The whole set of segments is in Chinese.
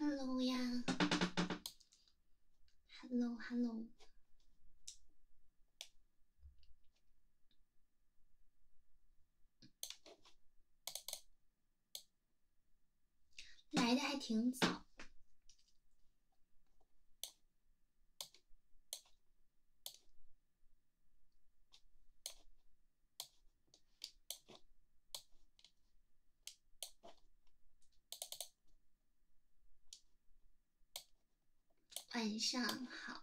Hello 呀，Hello Hello。来的还挺早，晚上好。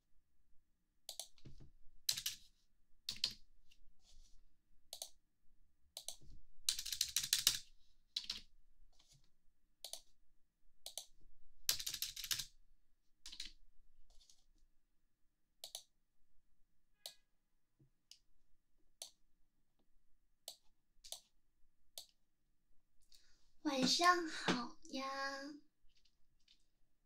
晚上好呀。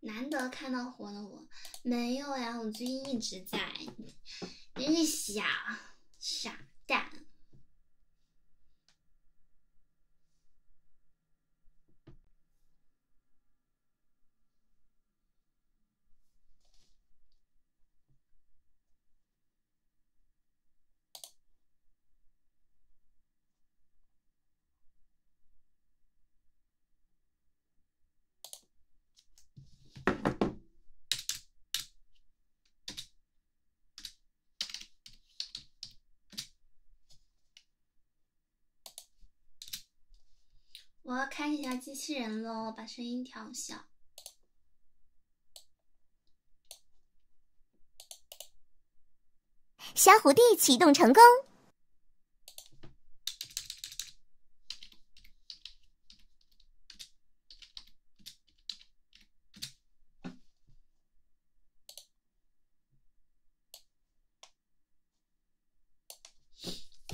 难得看到活的，我没有呀，我最近一直在，真是傻傻蛋。我要开一下机器人喽，把声音调小。小虎弟启动成功。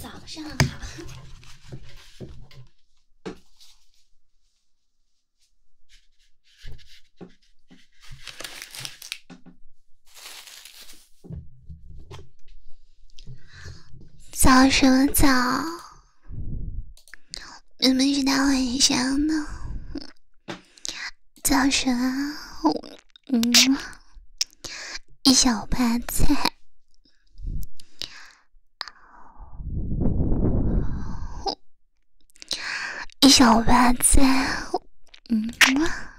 早上好。早什么早？明明是大晚上呢。早什么？嗯，一小盘菜。小白在，嗯啊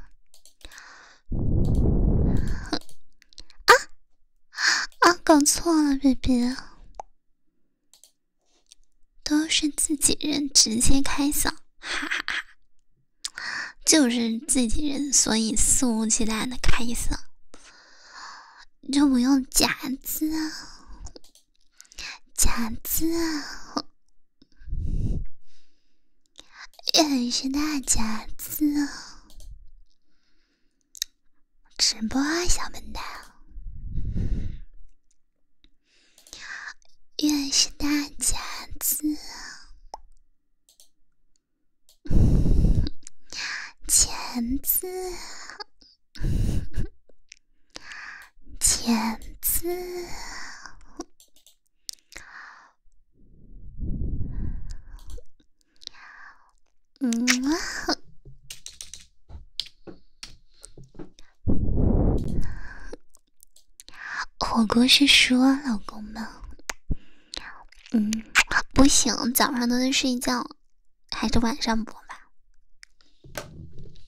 啊！搞错了，BB，都是自己人，直接开嗓，哈哈哈，就是自己人，所以肆无忌惮的开嗓，就不用夹子，啊，假字啊。认识大钳子，直播啊，小笨蛋。认识大钳子，钳子，钳子。嗯，火锅是说老公吗？嗯，不行，早上都在睡觉，还是晚上播吧。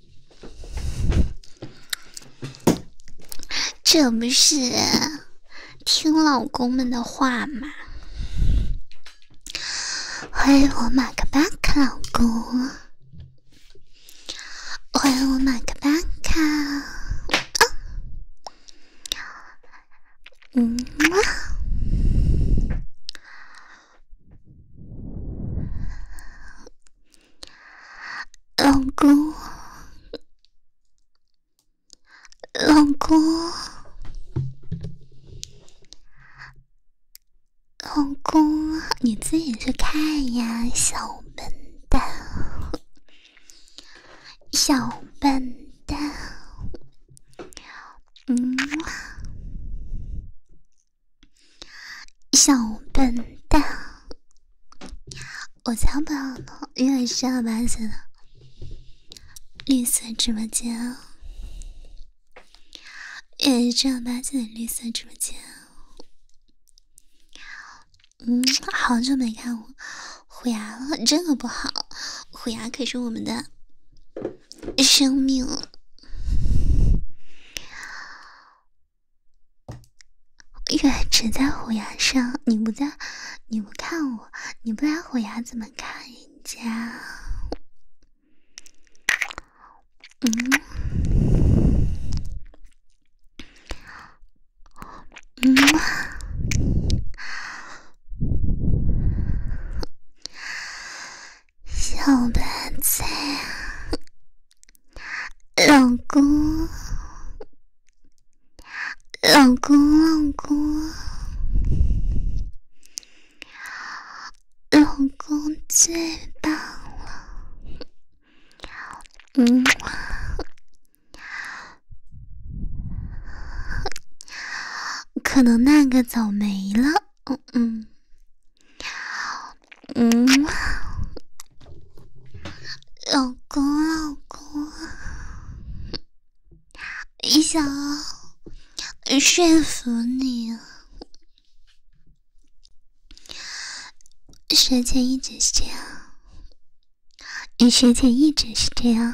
这不是听老公们的话吗？欢迎我马克巴克老公，欢迎我马克巴克，嗯。老公，老公，老公，你自己去看呀，小笨蛋，小笨蛋，嗯，小笨蛋。我才不要呢！因为正儿八经的绿色直播间，也是正儿八经的绿色直播间，嗯，好久没看我虎牙了，这个不好，虎牙可是我们的生命。月只在虎牙上，你不在，你不看我，你不来虎牙怎么看人家？嗯，嗯，小白菜。老公，老公，老公，老公最棒了。嗯，可能那个早没了。嗯嗯。嗯，老公，老公，想说服你啊，学姐一直是这样，学姐一直是这样。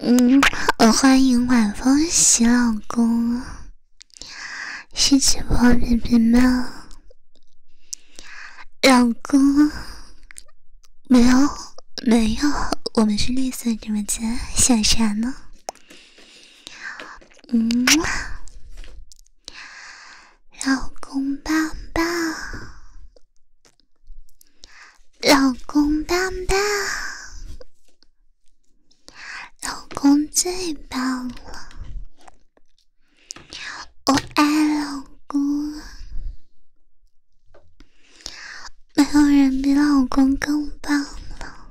嗯，我欢迎晚风洗老公。心情好，平平吗，老公？没有，没有，我们是绿色直播间，想啥呢？嗯，老公棒棒，老公棒棒，老公最棒了。我爱老公，没有人比老公更棒了。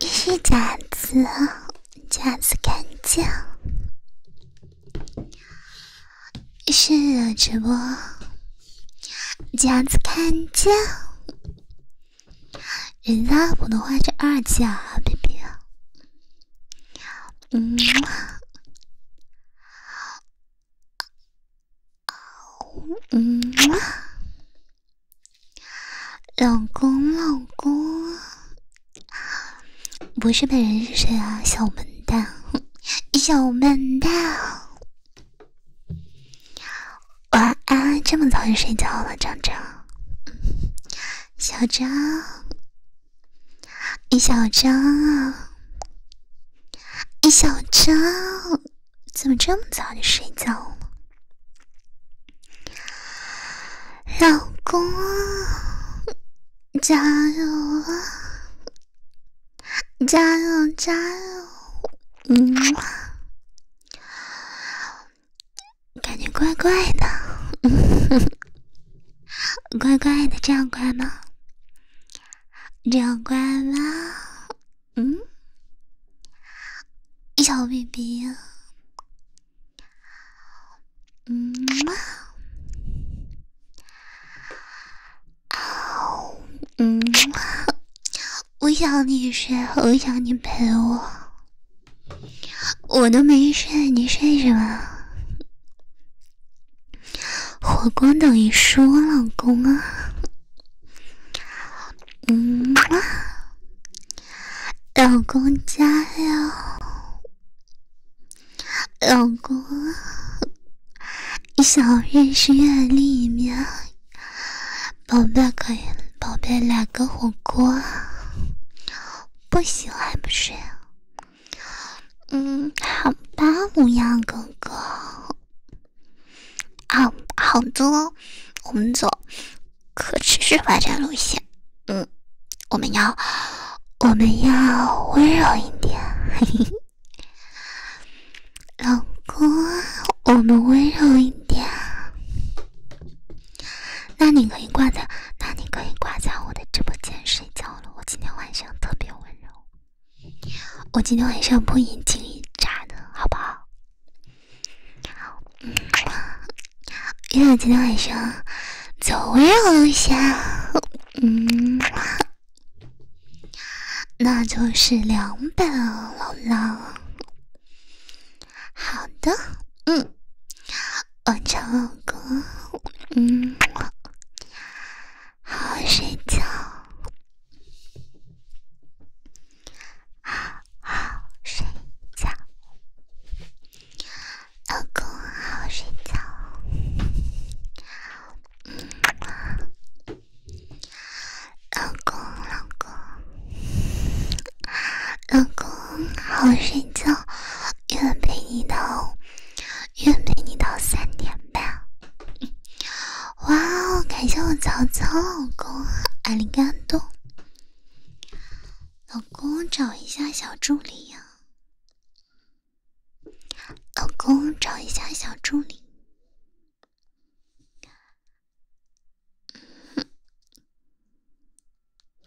一是夹子，夹子看见？是的，直播，夹子看见。人家普通话是二级啊，baby。嗯，老公，老公，不是本人是谁啊？小笨蛋，小笨蛋。晚安，这么早就睡觉了，张张。小张，一小张啊，小张，怎么这么早就睡觉了？老公，加油啊！加油，加油！嗯。感觉怪怪的，怪怪的，这样乖吗？这样乖吗？嗯，小 BB，嗯嘛，啊，嗯嘛，我想你睡，我想你陪我。我都没睡，你睡什么？火锅等于说老公啊，嗯，老公加油，老公，小认识月里面，宝贝可以，宝贝来个火锅。不喜欢不是？嗯，好吧，乌鸦哥哥，好好的，我们走可持续发展路线，嗯，我们要我们要温柔一点，嘿嘿，老公，我们温柔一点。那你可以挂在，那你可以挂在我的直播间睡觉了。我今天晚上特别温柔，我今天晚上不眼睛一眨的好不好？因为今天晚上走人一下，嗯，那就是两百了啦。好的，嗯，我照顾，嗯，好好睡觉，好好睡觉，老公好好睡觉，老公老公。老公，好睡觉，愿陪你到愿陪你到三点半。哇哦，感谢我曹操老公阿里嘎多。老公，找一下小助理呀。老公，找一下小助理。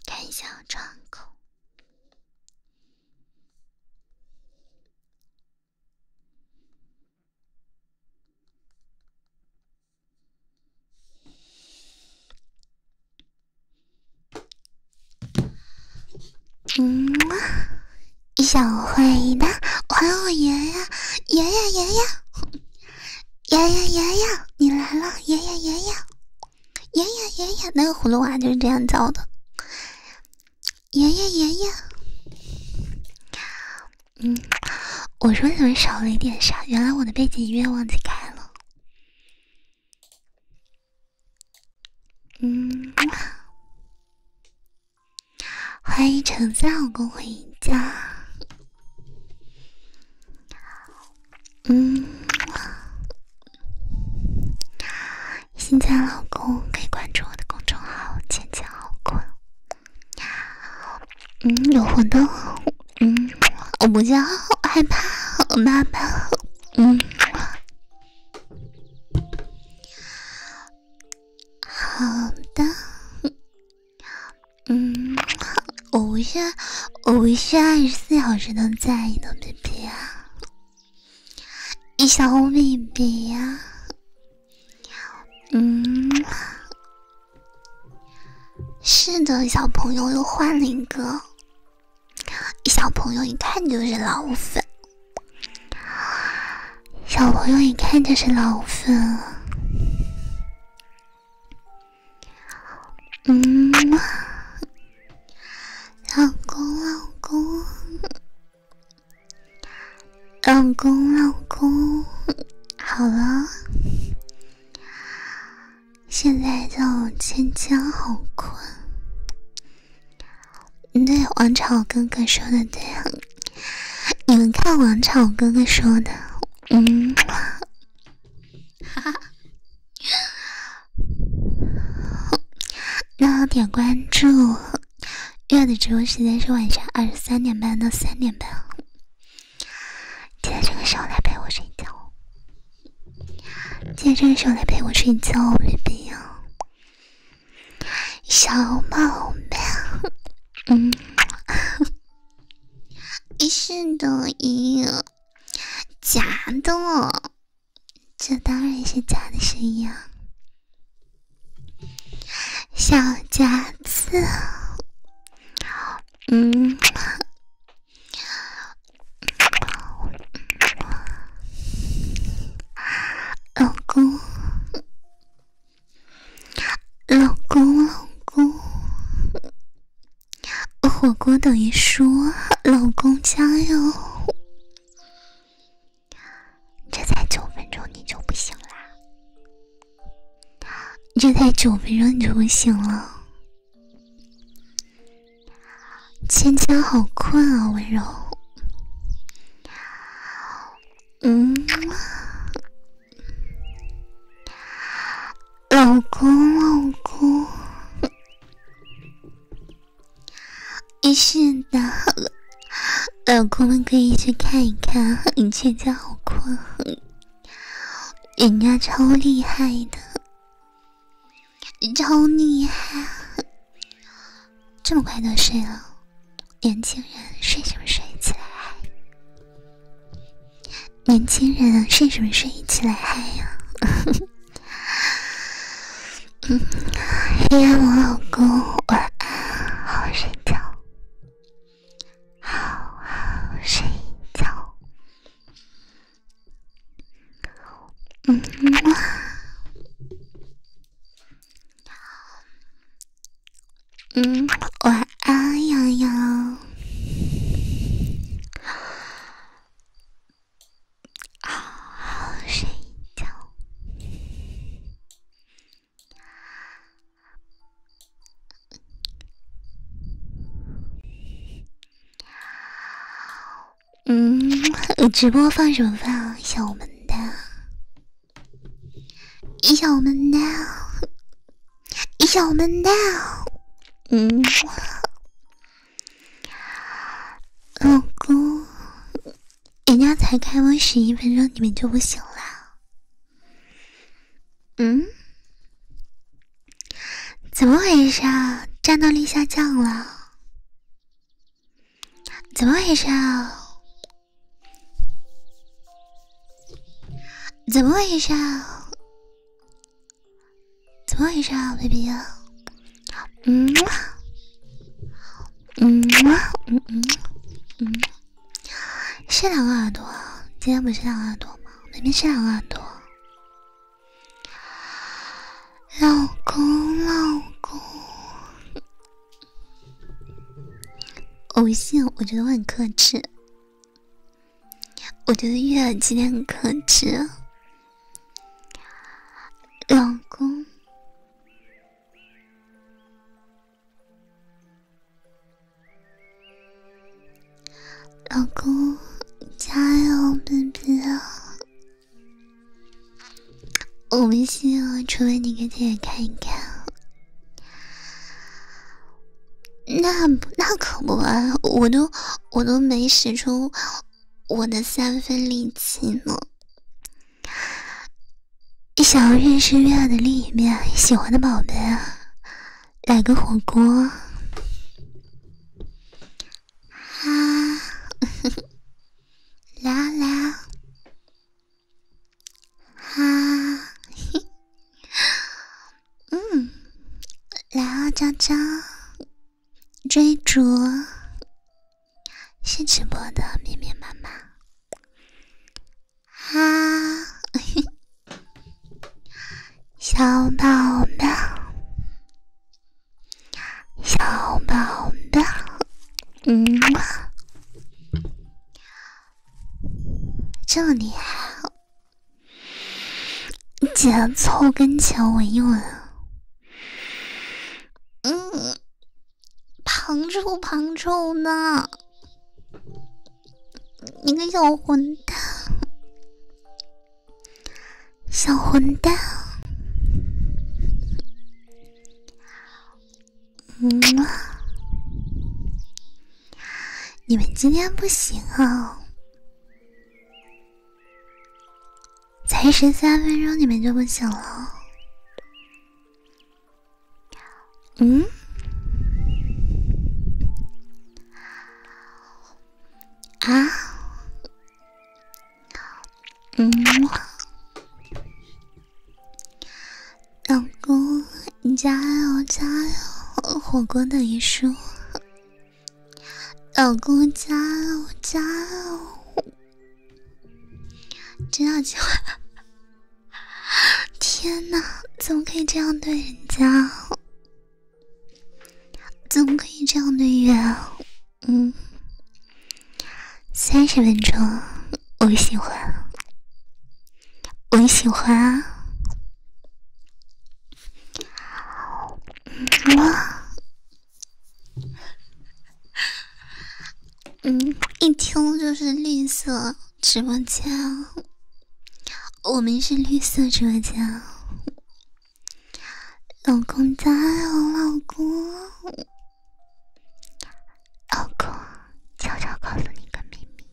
看小窗口。嗯，小坏蛋，还我爷爷！爷爷爷爷爷爷爷爷，你来了，爷爷爷爷。爷爷爷爷，那个葫芦娃就是这样叫的。爷爷爷爷，嗯，我说怎么少了一点啥？原来我的背景音乐忘记开了。嗯，欢迎橙子老公回家。嗯，新赞老公可以关注我的公众号“浅浅好困”。嗯，有活动。嗯，我不叫，害怕我妈妈。嗯，好的。嗯，我不是，我不是二十四小时都在的 BB 啊，一小 BB 呀。嗯，是的，小朋友又换了一个，小朋友一看就是老粉，小朋友一看就是老粉啊。嗯，老公老公，老公老公，好了，现在叫芊芊，好困。对王朝哥哥说的对你们看王朝哥哥说的，嗯。哈 哈，那点关注。月的直播时间是晚上二十三点半到三点半，记得这个时候来陪我睡觉。记得这个时候来陪我睡觉，baby 小宝贝，嗯，你 的抖音。假的，这当然是假的声音。啊！小夹子，嗯，老公，老公，老公。火锅等于说老公加油！这才九分钟你就不行啦！这才九分钟你就不行了，芊芊好困啊，温柔。嗯。老公，老公，没事了，老公们可以去看一看。你全家好困，人家超厉害的，超厉害，这么快就睡了。年轻人，睡什么睡，起来！年轻人睡什么睡？一起来嗨呀！嗯，黑暗我老公，晚安，好好睡觉，好好睡觉，嗯嗯，晚安，洋洋。好好睡觉。嗯，直播放什么放啊？笑我们蛋，笑我们蛋，想我们的，嗯。老公，人家才开播十一分钟，你们就不行了？嗯？怎么回事？啊？战斗力下降了？怎么回事？啊？怎么回事？啊？怎么回事啊，baby？嗯，嗯，嗯嗯嗯，是两个耳朵今天不是两个耳朵吗？明明是两个耳朵。老公，老公，我不信，我觉得我很克制。我觉得月儿今天很可耻，老公，老公加油，baby 我们希啊，除非你给姐姐看一看。那那可不，啊，我都。我都没使出我的三分力气呢，想要认识月亮的另一面，喜欢的宝贝，来个火锅，啊，来啊来啊，嗯，来啊，娇娇。追逐是直播的密密麻麻啊，小宝贝，小宝贝，嗯，这么厉害姐，凑跟前闻一闻。嗯，庞臭庞臭呢？你个小混蛋，小混蛋。嗯，你们今天不行啊。才十三分钟，你们就不行了？嗯？啊？嗯，老公，你加油，加油！火锅的于术。老公加我加油！知道计划。天哪，怎么可以这样对人家？怎么可以这样对月？嗯，三十分钟，我喜欢，我喜欢。哇！嗯，一听就是绿色直播间，我们是绿色直播间。老公在我，老公，老公，悄悄告诉你个秘密，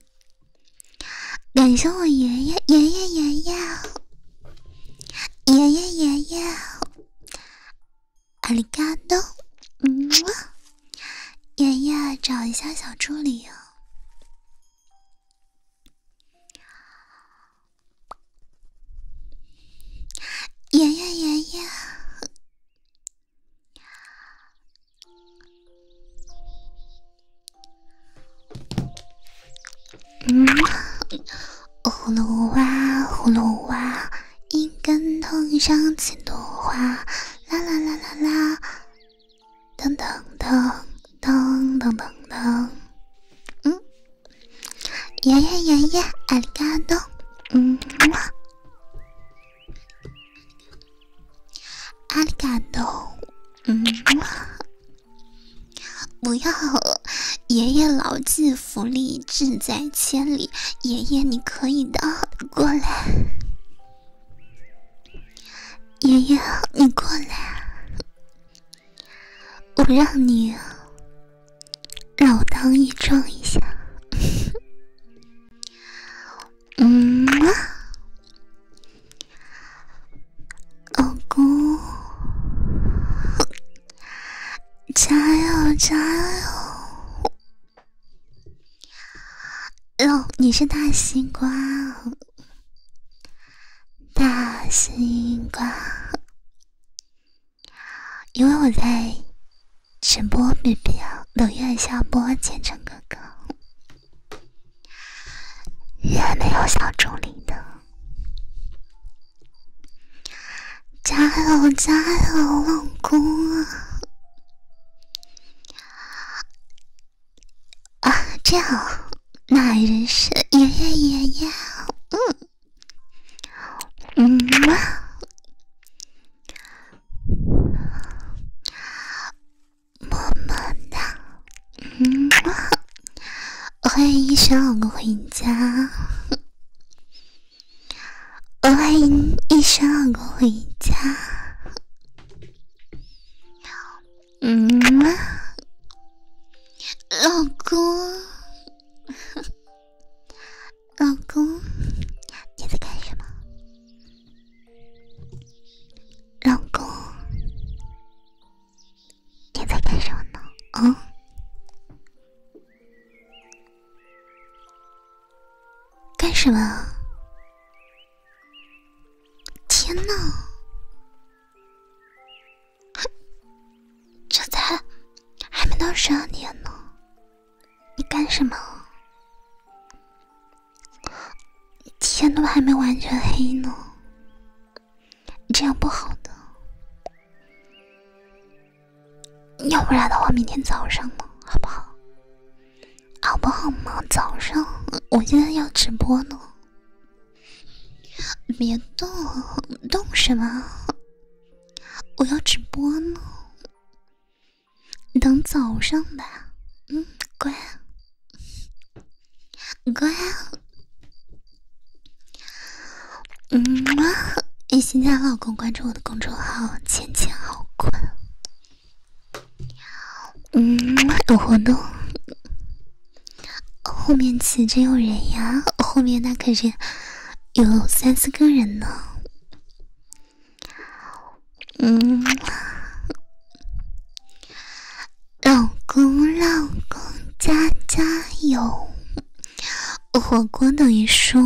感谢我爷爷，爷爷，爷爷。爷爷爷爷，阿里嘎多！嗯，爷爷找一下小助理哦。爷爷爷爷。嗯，葫芦娃，葫芦娃，一根藤上七朵花，啦啦啦啦啦，噔噔噔噔噔咚咚，嗯，爷耶耶耶，阿里嘎多，嗯，阿里嘎多。嗯，不要！爷爷老骥伏枥，志在千里”，爷爷你可以的，过来！爷爷，你过来，我让你老当益壮一下。嗯。老公，加油加油！哟，你是大西瓜，大西瓜。因为我在直播，没必要冷越下播，虔诚哥哥也没有小助理的。加油加油，老公啊！啊，这样，奶奶是爷爷爷爷，嗯，嗯嘛，么么哒。嗯，欢迎一生老公回家，欢迎一生老公回家。嗯，老公，老公，你在干什么？老公。你在干什么呢？啊，干什么？天哪！这才还没到十二点呢，你干什么？天都还没完全黑呢。这样不好的，要不然的话，明天早上呢，好不好？好不好嘛？早上，我现在要直播呢，别动，动什么？我要直播呢，等早上吧，嗯，乖。乖，嗯，一心家老公，关注我的公众号，今天好困。嗯，有活动，后面骑着有人呀，后面那可是有三四个人呢。嗯。老公，老公，加加油！火锅等于说，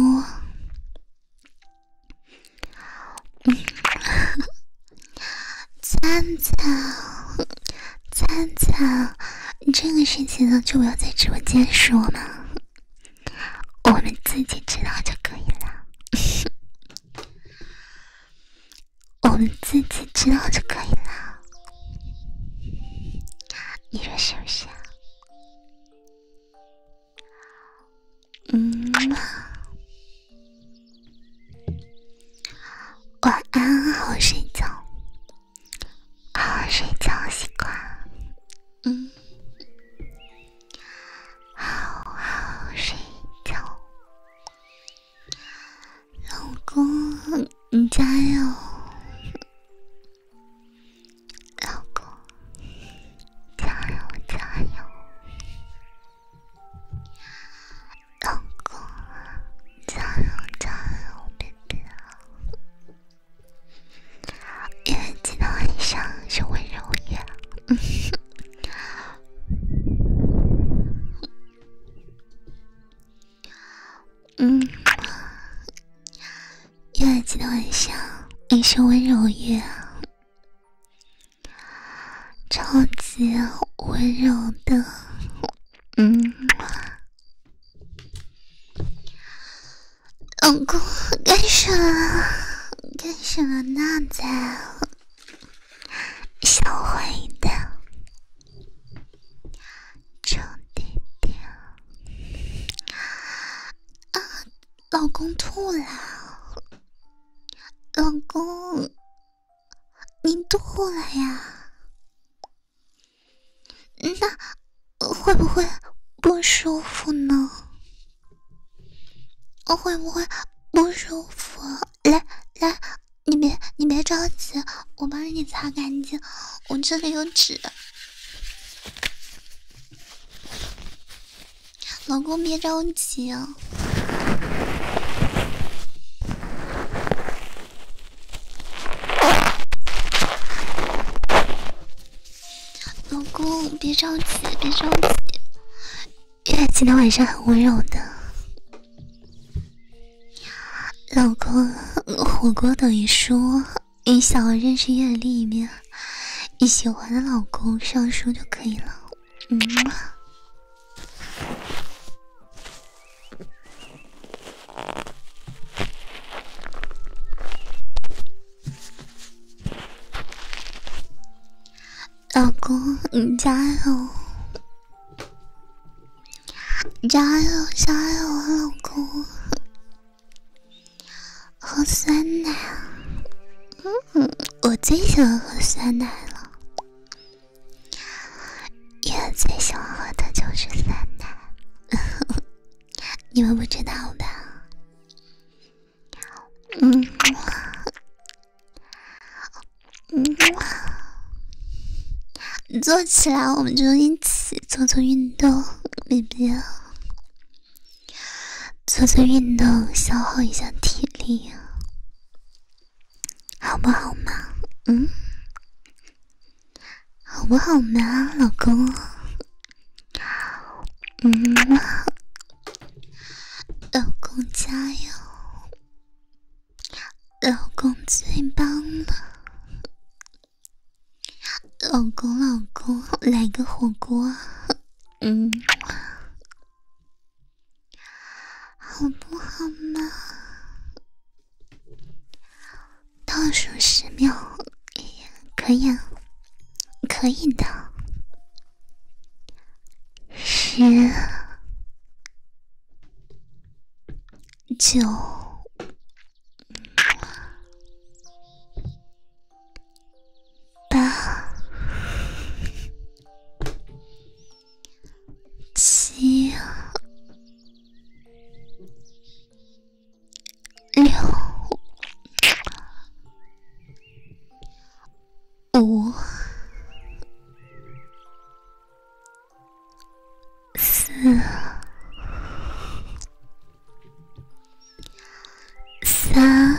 灿灿，灿灿，这个事情呢，就不要在直播间说嘛，我们自己知道就可以了，我们自己知道就可以了。你说什么？嗯，晚安，好好睡觉，好好睡觉习惯，嗯，好好睡觉。老公，你加油！老公，加油加油！老公，加油加油！别别，因为今天晚上是温柔一嗯，月子的晚上，你是温柔月，超级温柔的。嗯，老公干什么？干什么呢，在？想我呢？臭弟弟，啊，老公吐了，老公，你吐了呀？那会不会不舒服呢？会不会不舒服？来来，你别你别着急，我帮你擦干净。我这里有纸，老公别着急，啊。老公别着急，别着急，月今天晚上很温柔的。老公，火锅等于说你想要认识叶丽一面，你喜欢的老公上书就可以了。嗯，老公，你加油。加油，加油，老公！喝酸奶，嗯我最喜欢喝酸奶了。也最喜欢喝的就是酸奶，你们不知道吧？嗯，嗯，坐起来，我们就一起。做做运动，没必要。做做运动，消耗一下体力，好不好嘛？嗯，好不好嘛，老公？嗯，老公加油，老公最棒了。老公，老公，来个火锅，嗯，好不好嘛？倒数十秒，可以，啊，可以的，十，九。八七六五。四、三、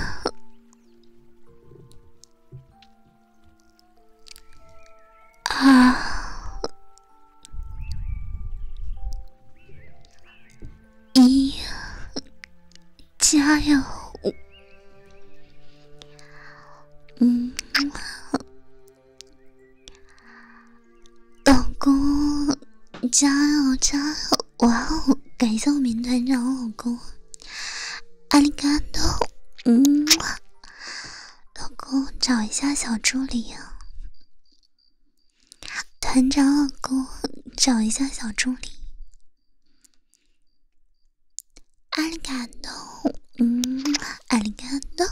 二、一，加油！嗯。老公，加油加油！哇哦，感谢我们团长老公，阿里嘎多，嗯。老公，找一下小助理啊！团长老公，找一下小助理，阿里嘎多，嗯，阿里嘎多。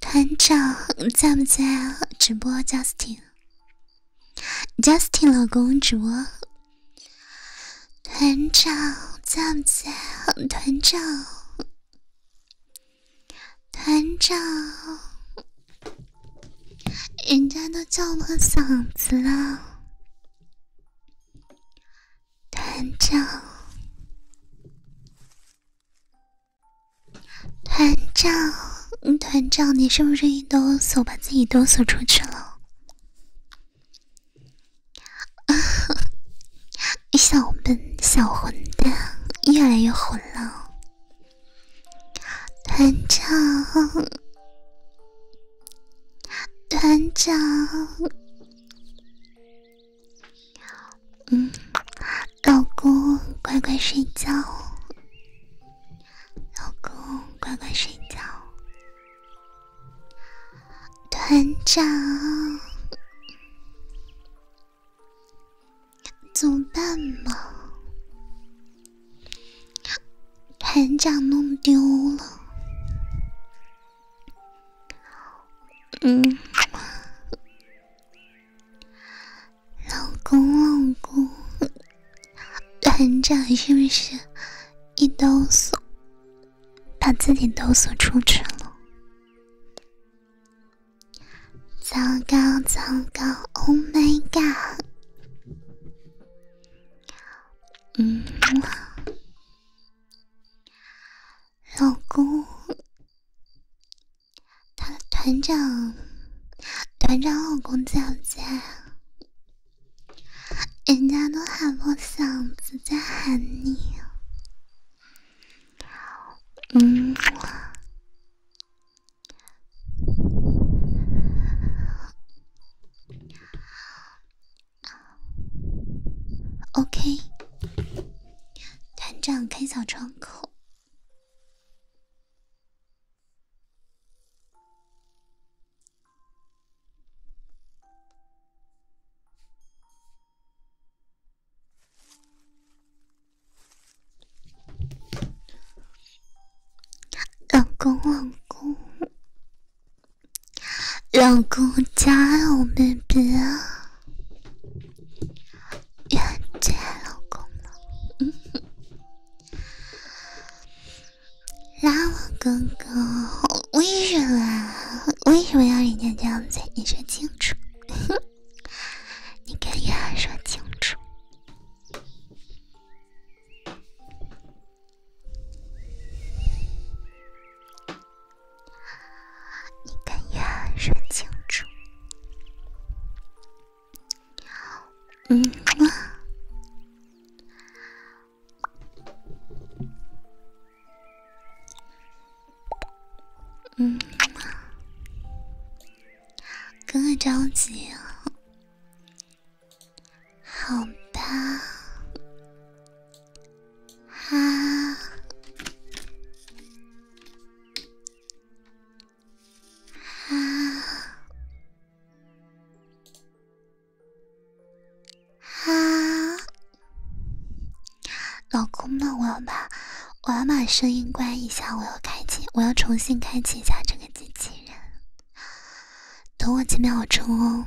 团长在不在？直播 Justin，Justin 老公直播。团长在不在？团长，团长，人家都叫破嗓子了。团长，团长，团长，你是不是一哆嗦把自己哆嗦出去了？啊哈！小笨，小混蛋，越来越混了。团长，团长。嗯，老公乖乖睡觉，老公乖乖睡觉。团长，怎么办嘛？团长弄丢了。嗯，老公，老公，团长是不是一刀锁，把自己都锁出去了？糟糕，糟糕，Oh my god！嗯。老公，他的团长，团长老公在不在？人家都喊破嗓子在喊你，嗯。o k 团长开小窗口，老公，老公。老公加油，b a 妹妹！元杰，老公了，拉我哥哥，为什么？为什么要人家这样子？你说清楚，你跟元杰说清楚。你跟月涵说清楚。嗯。嗯。哥哥着急。好吧。啊啊啊！老公，们，我要把我要把声音关一下，我要开启，我要重新开启一下这个机器人，等我几秒钟哦。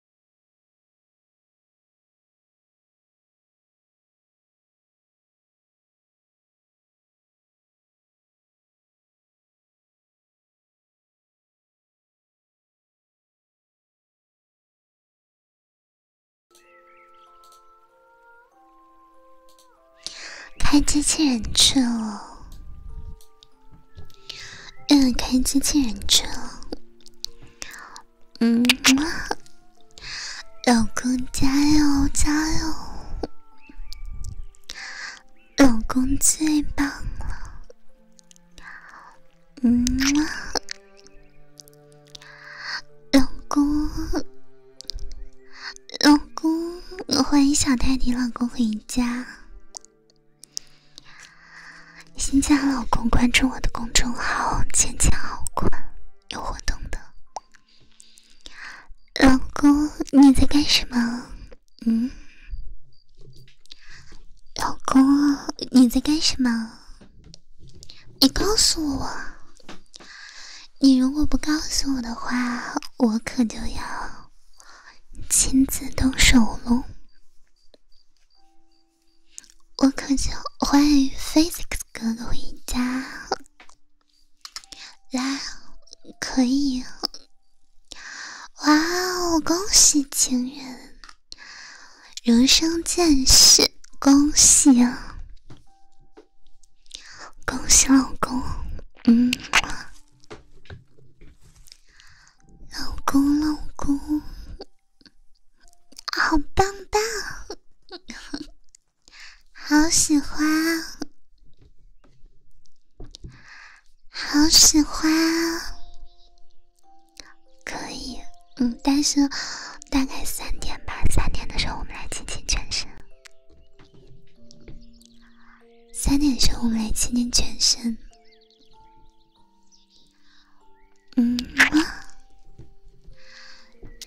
开机器人去了，嗯，开机器人去了。嗯，老公加油加油，老公最棒了。嗯，老公，老公，欢迎小泰迪老公回家。新家老公，关注我的公众号“坚强好困。有活动的。老公，你在干什么？嗯？老公，你在干什么？你告诉我，你如果不告诉我的话，我可就要亲自动手喽。我可就欢迎 Physics 哥哥回家，来可以。哇哦，恭喜情人，如生见识，恭喜，啊！恭喜老公。嗯，老公，老公。好棒棒，好喜欢，好喜欢，可以，嗯，但是大概三点吧，三点的时候我们来亲亲全身。三点的时候我们来亲亲全身。嗯，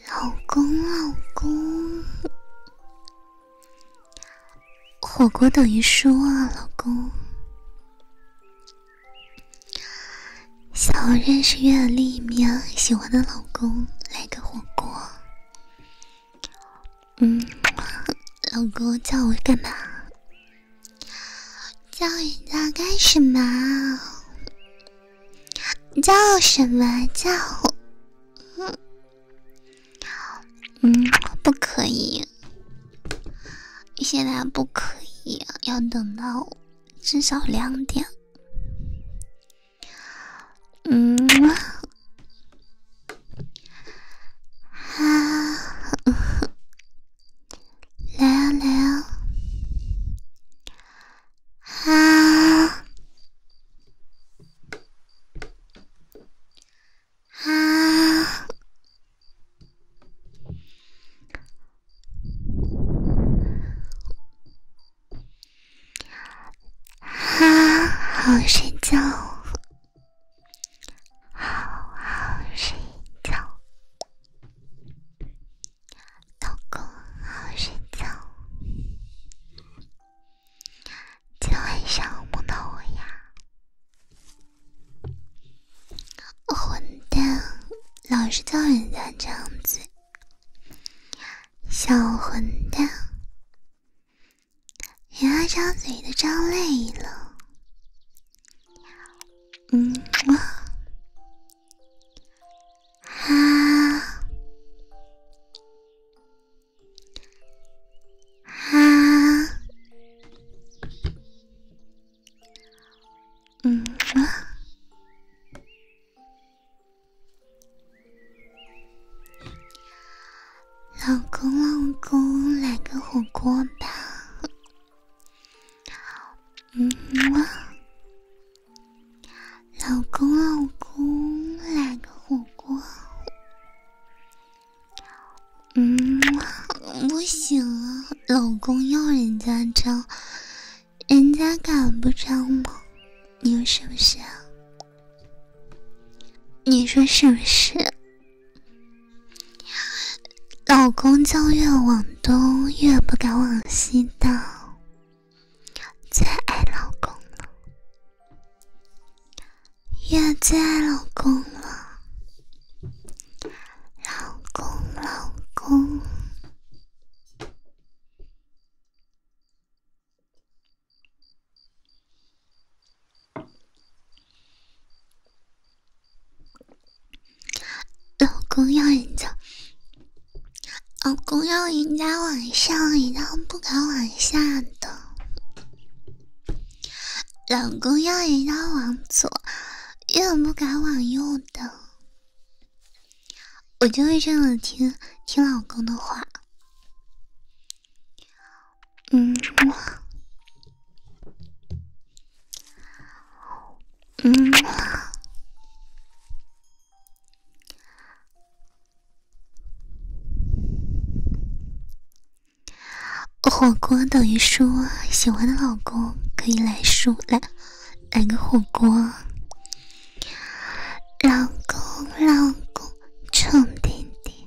老公，老公，火锅等于输啊，老公。想认识月丽面喜欢的老公，来个火锅。嗯，老公叫我干嘛？叫你家干什么？叫什么？叫嗯嗯，不可以，现在不可以，要等到至少两点。嗯啊，来啊来啊，啊！啊！啊！好睡觉，好好睡觉。老公，好好睡觉。今晚上梦到我呀，混蛋，老是叫人家这样子，小混蛋，你牙张嘴都张累了，嗯啊啊，嗯啊，老公，老公，来个火锅吧，嗯吗？老公，老公，来个火锅。嗯，不行啊，老公要人家张，人家敢不张吗？你说是不是？你说是不是？老公叫越往东越不敢往西倒。最爱老公了，也最爱老公了，老公老公，老公要人家，老公要一家往上，一刀不敢往下的；老公要一刀往左，也不敢往右的。我就会这样听听老公的话。嗯，嗯。火锅等于输，喜欢的老公可以来输，来来个火锅。老公，老公，臭弟弟，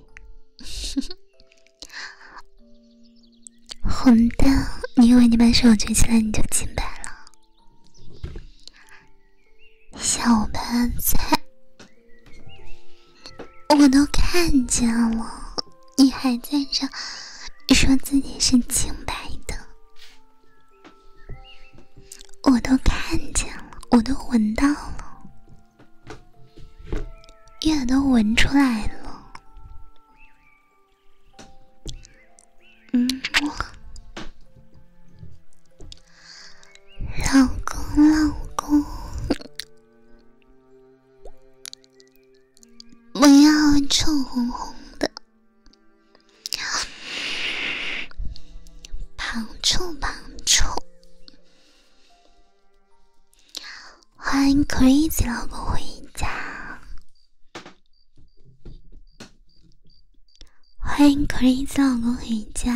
混 蛋！你以为你把手举起来你就清白了？小白菜，我都看见了，你还在这说自己是清白的？我都看见了，我都闻到了，月都闻出来了。嗯，老公，老公，不要臭烘烘的，旁臭旁臭，欢迎 crazy 老公回家。欢迎可丽丝老公回家。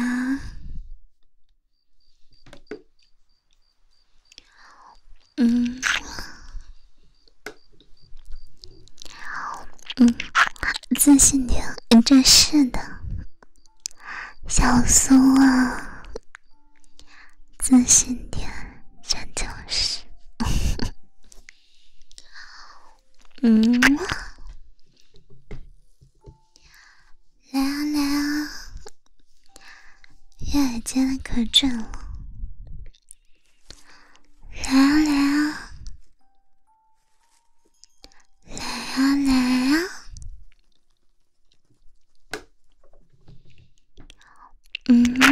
嗯嗯，自信点，真是的，小苏啊，自信点，真就是。嗯，来啊来啊，越接的可准了，来啊来啊来啊来啊，嗯。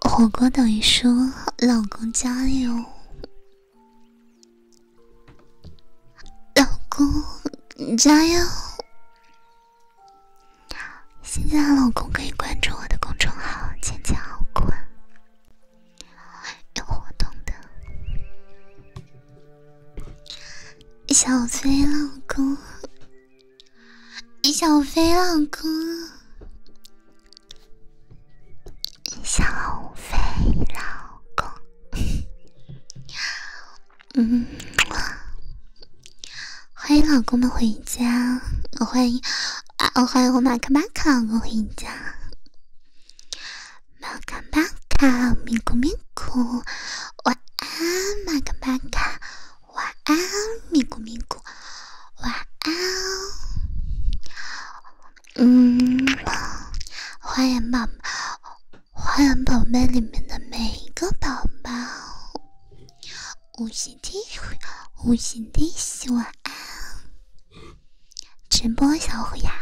火锅等于说，老公加油，老公加油。现在的老公可以关注我的公众号“芊芊好困”，有活动的。小崔老公。想飞老公，小飞老公，嗯，欢迎老公们回家，我欢迎啊，我欢迎我马卡巴卡我回家，马卡巴卡咪咕咪咕，晚安马卡巴卡。晚安，咪咕咪咕，晚安。嗯，欢迎宝，欢迎宝贝里面的每一个宝宝，五星 T，五星 T，晚安。直播小虎牙，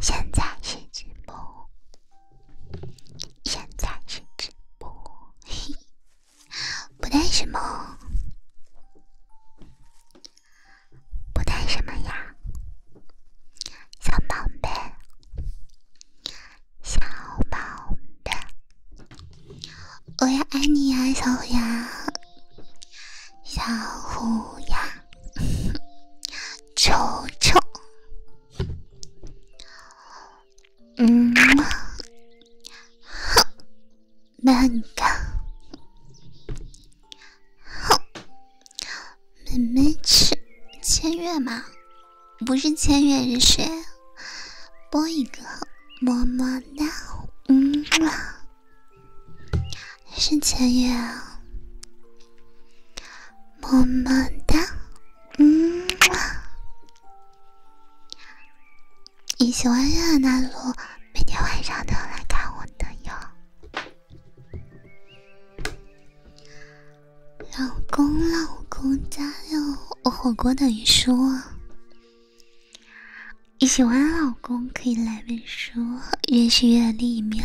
现在是直播，现在是直播。不带什么，不带什么呀，小宝贝，小宝贝，我要爱你呀，小虎牙，小虎牙，丑丑。嗯，哈，那个，哈，妹妹去签约吗？不是签约是谁？播一个么么哒，嗯嘛，是签约么么哒，嗯你喜欢热南大每天晚上都要来看我的哟，老公老公加油！我火锅等于输。你喜欢老公可以来本书，越是越南妙。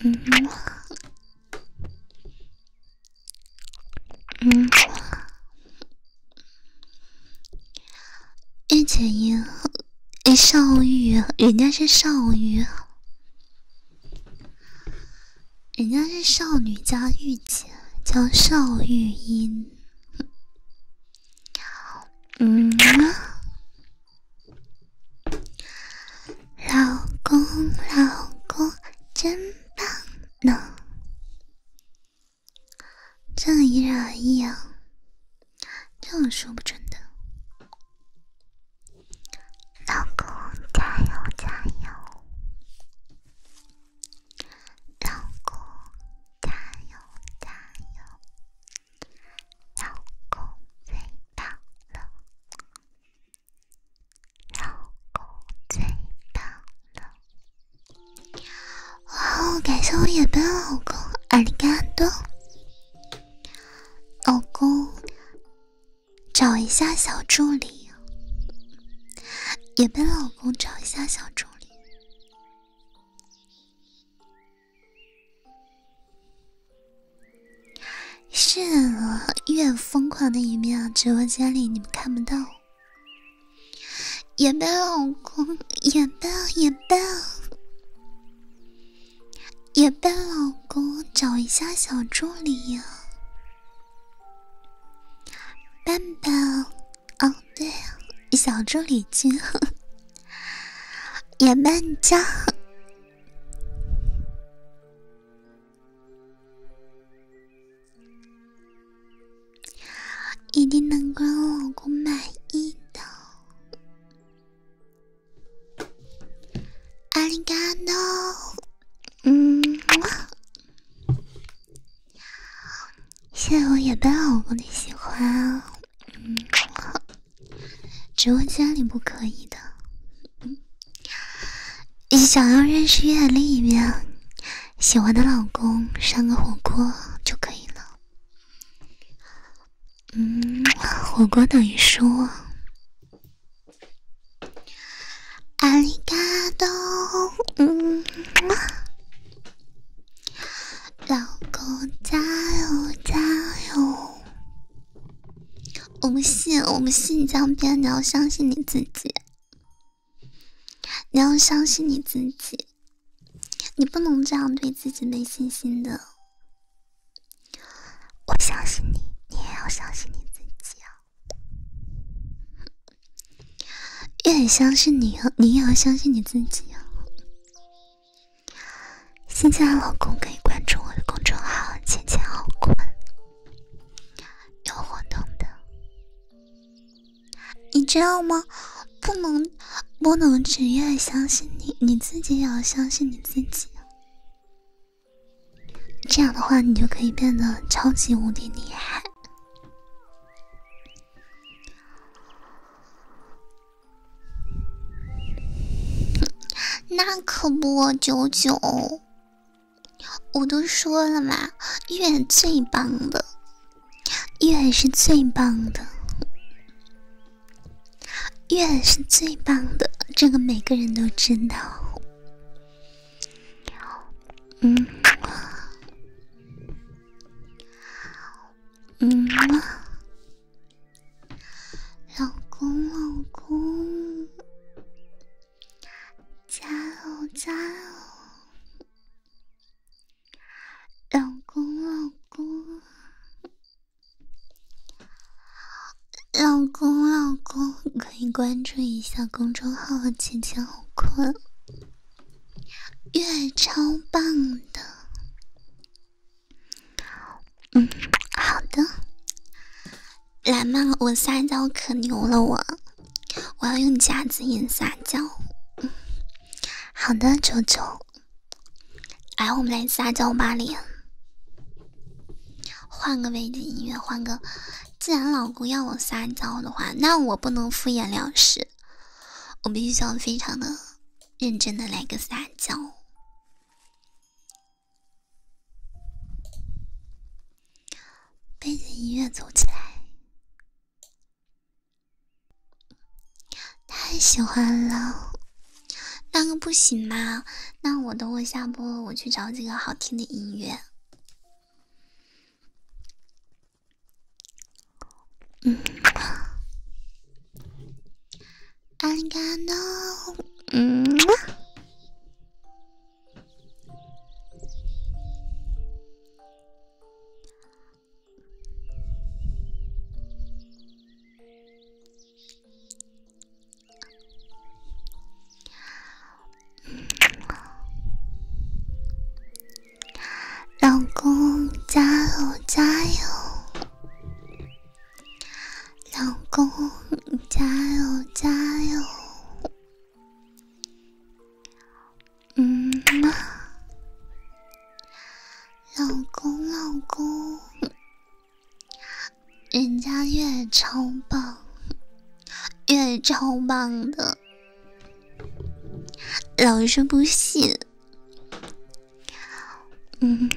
一嗯。嗯，御姐音和少御，人家是少御，人家是少女加御姐，叫少御音。嗯，老公，老公真。能，这个因人而异啊，这个说不准的。老公加油加油，老公加油加油，老公最棒了。老公最棒了！哇哦，感谢我野被老公，阿里嘎多！老公，找一下小助理，也被老公找一下小助理。是啊，越疯狂的一面，直播间里你们看不到。野伴老公，也伴也伴，也伴老公，找一下小助理呀，伴伴，哦对，小助理君，野 伴家。一定能够让老公满意的，阿里嘎多，嗯，谢谢我也被老公的喜欢，嗯，直播间里不可以的。想要认识月丽一面，喜欢的老公上个火锅就可以了。嗯，火锅等于说。阿里嘎多，嗯，老公加油加油！我不信，我不信你这样你要相信你自己。你要相信你自己，你不能这样对自己没信心的。我相信你，你也要相信你自己啊！越相信你，你也要相信你自己啊！新进的老公可以关注我的公众号“浅浅好困”。有活动的，你知道吗？不能不能只愿相信你，你自己也要相信你自己。这样的话，你就可以变得超级无敌厉害。那可不，九九。我都说了嘛，月最棒的，月是最棒的，月是最棒的，这个每个人都知道。嗯，嗯，老公，老公。加油加油！老公老公，老公老公，可以关注一下公众号“姐姐好困”，月超棒的。嗯，好的。来嘛，我撒娇可牛了，我我要用夹子音撒娇。好的，九九，来我们来撒娇吧，脸。换个背景音乐，换个。既然老公要我撒娇的话，那我不能敷衍了事，我必须要非常的认真的来个撒娇。背景音乐走起来，太喜欢了！那个不行吗？那我等我下播，我去找几个好听的音乐。嗯安干 o 嗯。老公，加油加油！老公，加油加油！嗯，老公，老公，人家越超棒，越超棒的，老是不信。嗯，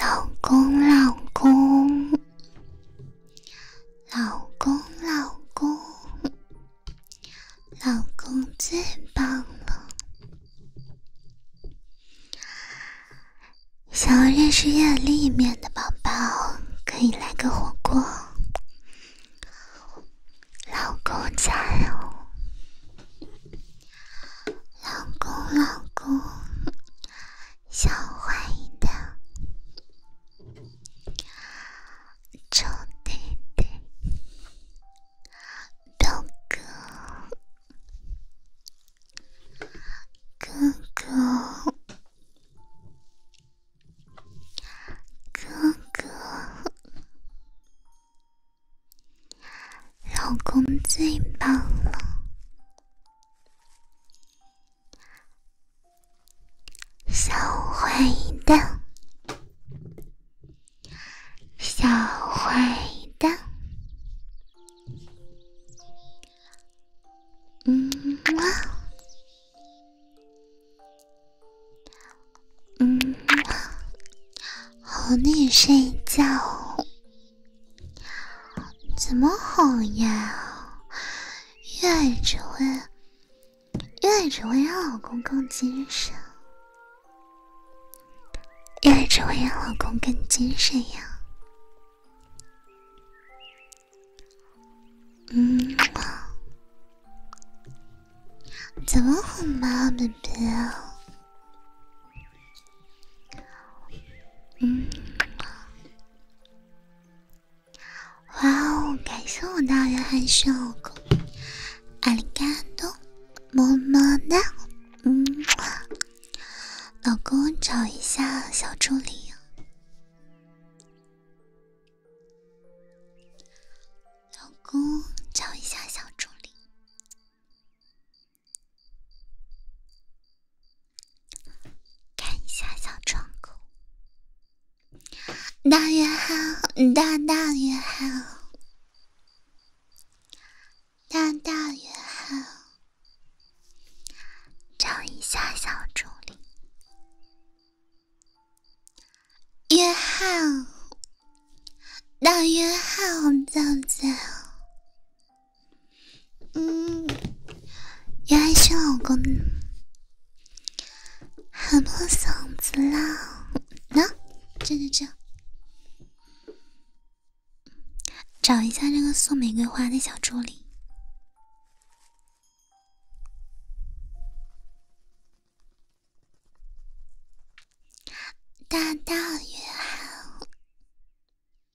老公，老公。老公，老公，老公最棒了！想要认识月历一面的宝宝，可以来个火锅。老公加油！老公，老公。小坏蛋，臭弟弟，表哥，哥哥，哥哥，老公最棒了。小坏蛋，小坏蛋，嗯嘛，嗯嘛，哄你睡觉。怎么哄呀？越只会，越只会让老公更精神，越只会让老公更精神呀。嗯，怎么哄嘛，baby？嗯。哇哦！感谢我大的还是老公，阿里嘎多，么么哒，嗯，老公找一下小助理，老公找一下小助理。看一下小窗口，大约翰，大大约翰，大大约翰，找一下小助理，约翰，大约翰在在。嗯，原来是老公喊破嗓子啦！那这这这，找一下这个送玫瑰花的小助理，大大约好。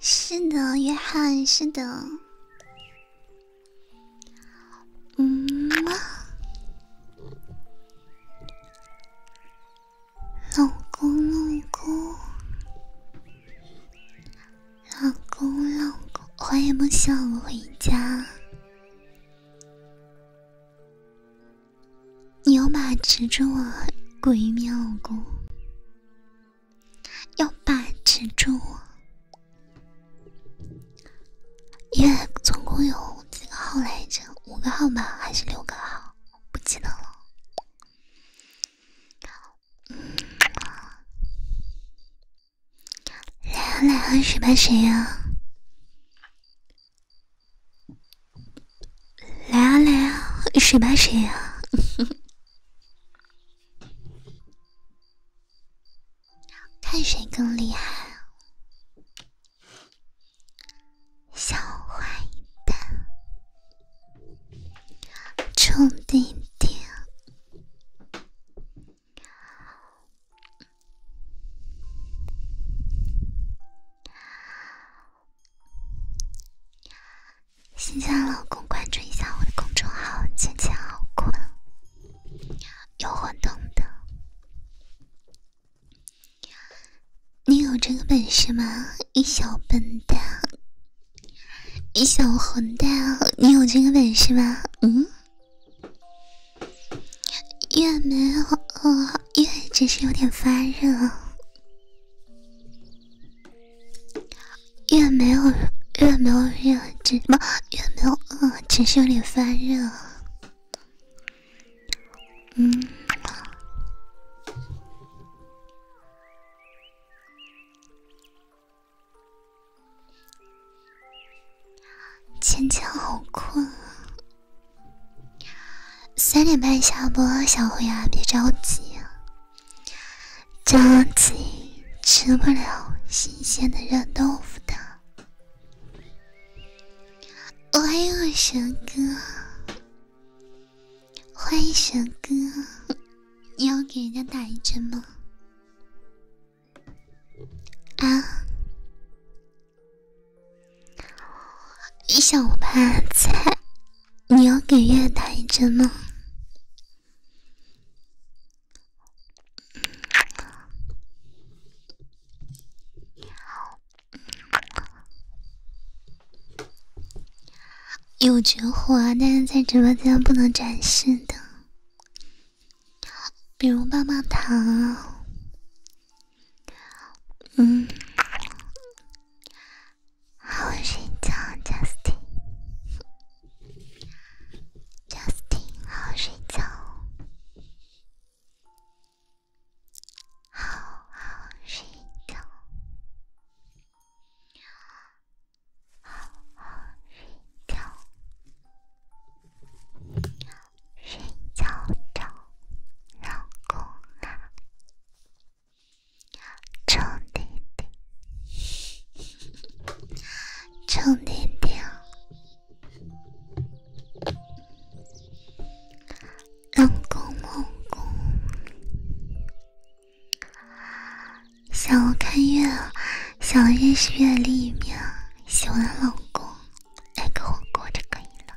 是的，约翰，是的。嗯，老公，老公，老公，老公，欢迎梦想回家。牛马执着啊，鬼面老公。要把持住，因为总共有几个号来着？五个号吧，还是六个号？不记得了。来啊来啊，谁怕谁呀？来啊来啊，谁怕谁呀？看谁更厉害，小坏蛋，臭弟弟。新嫁老公，关注一下我的公众号“钱钱好困”，有活动的，你有这个本事吗？一小笨蛋，一小混蛋，你有这个本事吗？嗯？也没有，哦，也只是有点发热。越没有越没有热只不越没有饿，只是有点发热。嗯，芊芊好困啊！三点半下播，小灰啊，别着急啊！着急吃不了新鲜的热豆腐的。欢有我蛇哥，欢迎神哥，你要给人家打一针吗？啊？一小盘菜，你要给月打一针吗？有绝活，但是在直播间不能展示的，比如棒棒糖。嗯。好睡觉，Justin，Justin，好睡觉，好好睡觉，好好睡觉，睡觉觉，老公。臭弟弟，臭弟弟，老公老公，想看月，想认识月另一面，喜欢老公，来个火锅就可以了。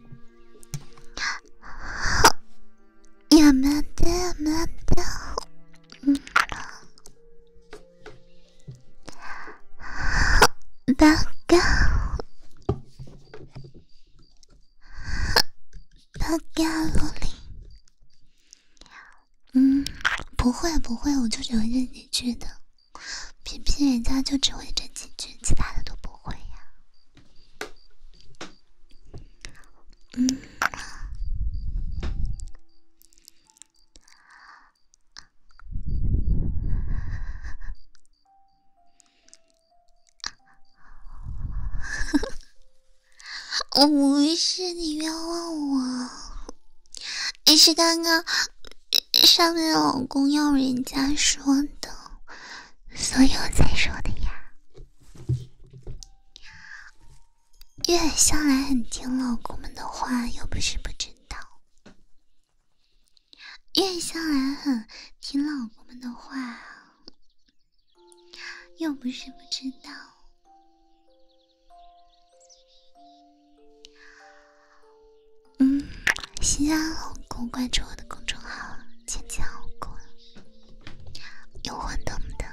やめてやめて。啊！啊！啊！啊！ロリ。啊！啊！啊！不会，啊！啊！啊！啊！啊！啊！啊！啊！啊！啊！偏偏人家就只会这几句，其他的都不会呀。嗯，我不是你冤枉我，你是刚刚。上面老公要人家说的，所以我才说的呀。月向来很听老公们的话，又不是不知道。月向来很听老公们的话，又不是不知道。嗯，新疆红果，关注我的公众号“浅浅老公”，有互动的。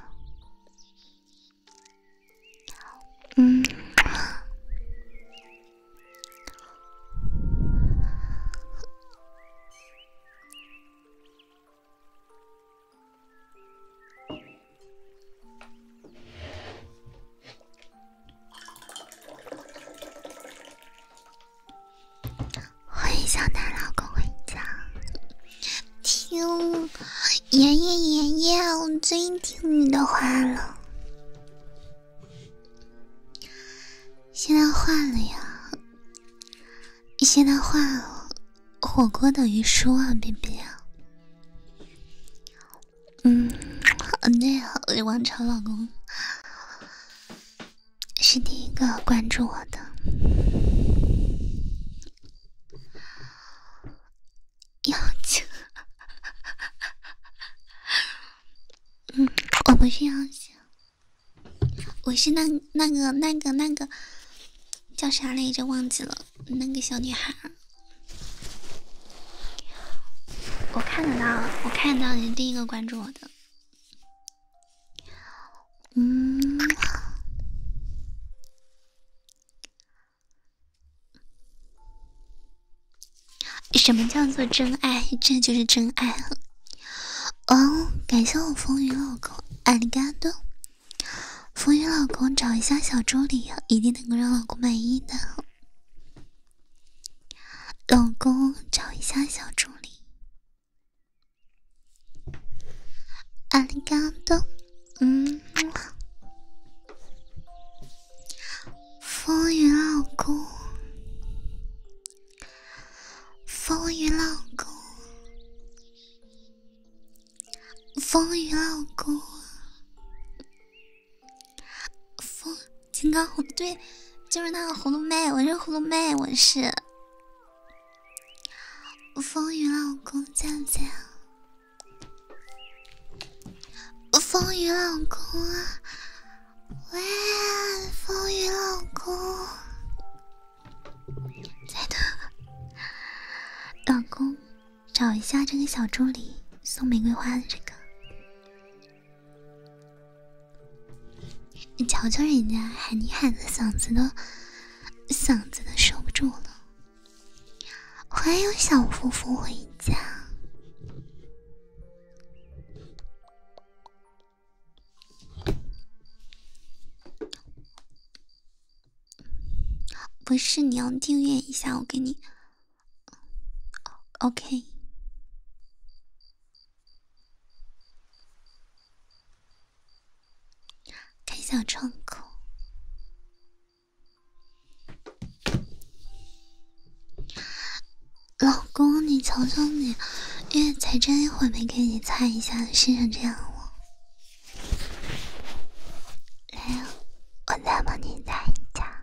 嗯。欢迎小奶老公回家，听爷爷爷爷，我最听你的话了。现在换了呀？现在换了火锅等于输啊，B B。嗯，好累啊，我的王朝老公。是第一个关注我的，妖精。嗯，我不是妖精，我是那那个那个那个叫啥来着？忘记了，那个小女孩。我看得到，我看到你第一个关注我嗯，什么叫做真爱？这就是真爱哦，感谢我风雨老公爱你嘎多，风雨老公找一下小助理一定能够让老公满意的。老公，找一下小助理。阿里嘎多，嗯。风雨老公，风雨老公，风雨老公，风。金刚葫芦对，就是那个葫芦妹，我是葫芦妹，我是。风雨老公在不在？风雨老公啊，喂，风雨老公，在的。老公，找一下这个小助理送玫瑰花的这个。你瞧瞧人家喊你喊的嗓子都嗓子都受不住了。欢迎小夫妇回家。不是，你要订阅一下，我给你。OK。开小窗口，老公，你求求你，月为才真一会没给你擦一下，就湿这样了。来呀，我再帮你擦一下。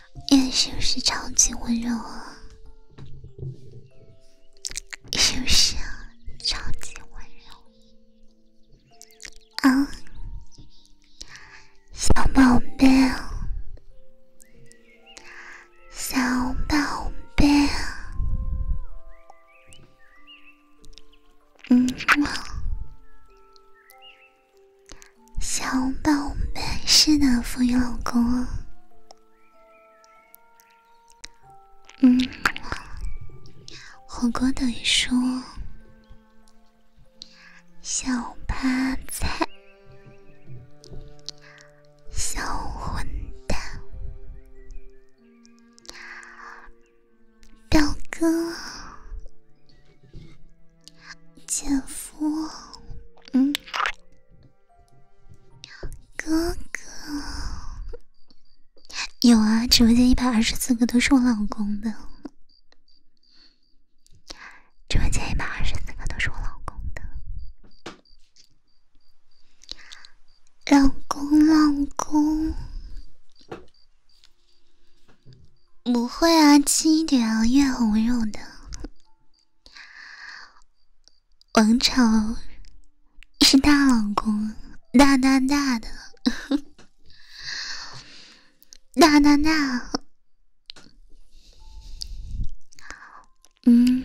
你是不是超级温柔啊？是不是啊？超级温柔啊，小宝贝，小宝贝，嗯。小宝贝，是的，风雨老公。嗯，火锅等于说小趴菜，小混蛋，表哥。姐夫，嗯，哥哥，有啊，直播间一百二十四个都是我老公的，直播间一百二十四个都是我老公的，老公老公，不会啊，轻一点啊，月红肉的。王朝是大老公，大大大的，大大大，嗯。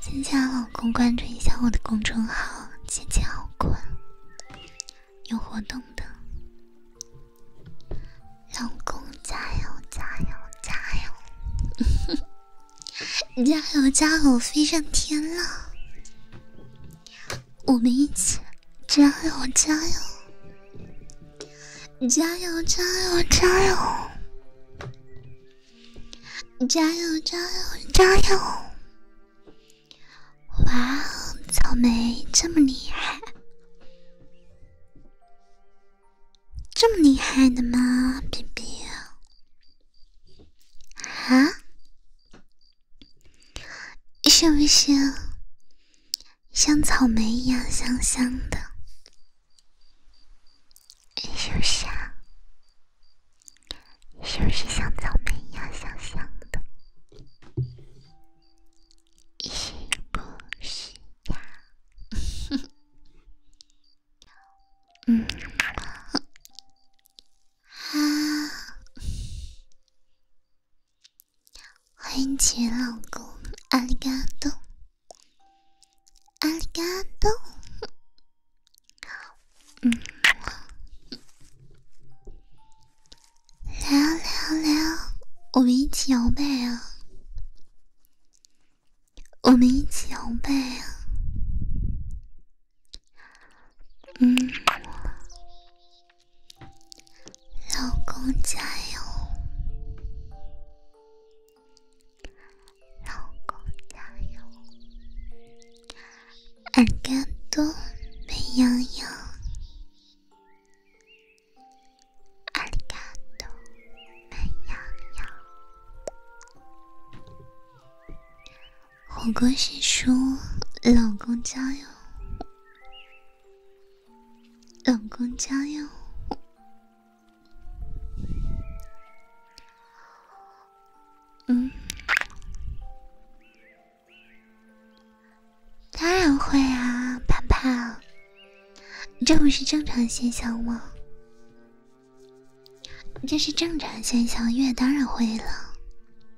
亲亲老公，关注一下我的公众号，姐姐好困，有活动的，老公加油加油加油，加油加油 飞上天了！我们一起加油加油加油加油加油加油加油加油哇，草莓这么厉害，这么厉害的吗？比比啊？是不是像草莓一样香香的？是不是？啊？是不是像草莓一样香香的？是不是呀？嗯啊。欢迎前老公，阿里嘎多，阿里嘎多，嗯，聊聊聊，我们一起摇摆啊，我们一起摇摆啊，嗯。老公加油，老公加油，阿里多，美羊羊，俺里嘎美羊羊，火锅师叔，老公加油。冷公加油！嗯，当然会啊，盼盼，这不是正常现象吗？这是正常现象，月当然会了。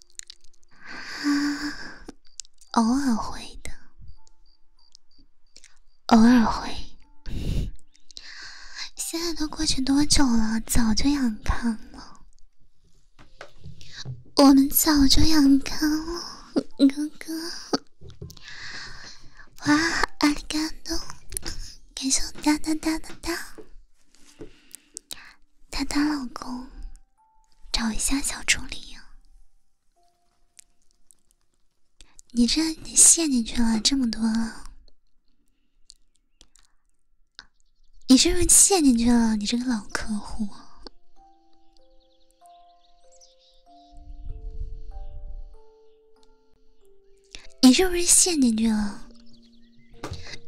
啊，偶尔会的，偶尔会。现在都过去多久了？早就养康了，我们早就养康了，哥哥。哇，阿里嘎多，感谢哒哒哒哒哒，哒哒老公。找一下小助理。你这你陷进去了，这么多了，你是不是陷进去了？你这个老客户，你是不是陷进去了？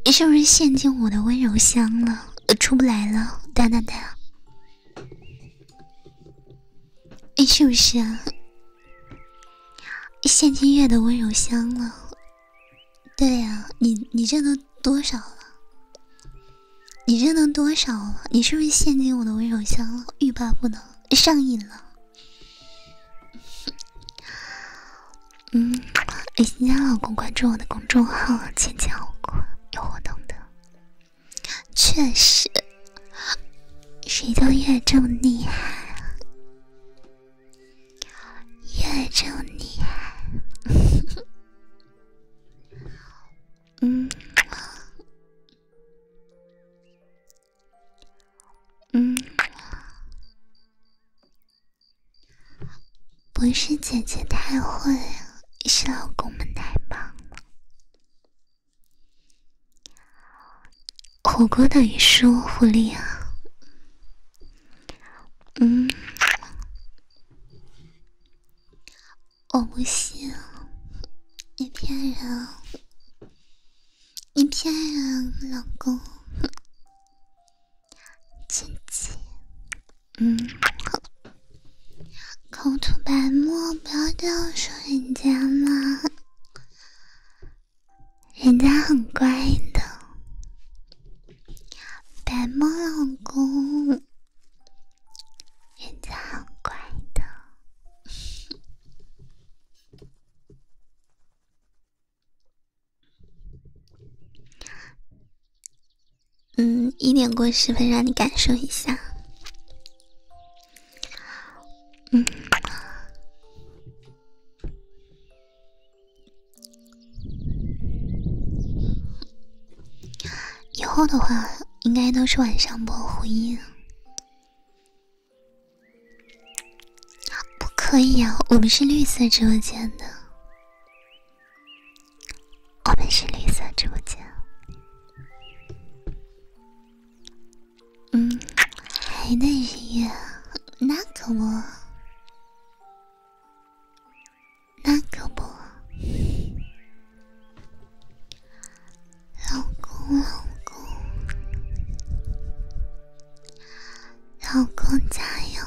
你是不是陷进我的温柔乡了？出不来了，哒哒哒！你是不是啊？陷进月的温柔乡了？对呀，你你这都多少了？你这都多少了？你是不是陷进我的温柔乡了？欲罢不能，上瘾了。嗯，李欣佳老公关注我的公众号“千千好酷”，有活动的。确实，谁叫这么厉害，这么厉害。嗯，嗯。不是姐姐太会，是老公们太棒了。火锅等于说狐狸啊？嗯，我不信，你骗人，你骗人，老公。姐姐，嗯，口吐白沫，不要这样说人家嘛，人家很乖的，白沫老公，人家很乖的。嗯，一点过十分，让你感受一下。嗯，以后的话，应该都是晚上播呼音。不可以啊，我们是绿色直播间的。我们是绿色直播间。嗯，还能预约？那可不，那可不。老公，老公，老公加油！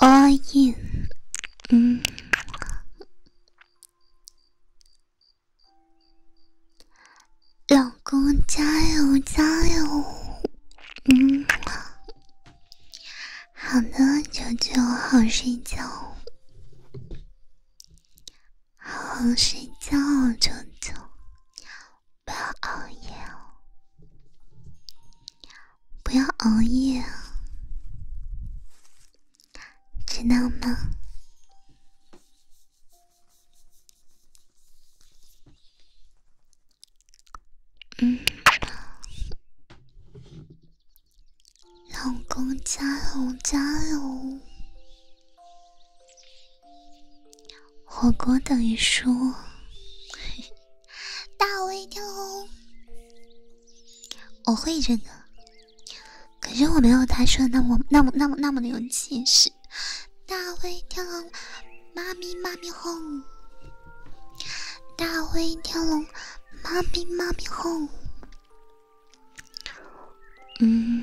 熬夜，嗯，老公加油加油，嗯，好的，舅舅好睡觉，好好睡觉，舅舅，不要熬夜哦。不要熬夜，知道吗？嗯，老公加油加油！火锅等于输，大胃天龙。我会这个，可是我没有他说的那么那么那么那么的有气势。大灰跳龙，妈咪妈咪哄；大灰跳龙，妈咪妈咪哄。嗯。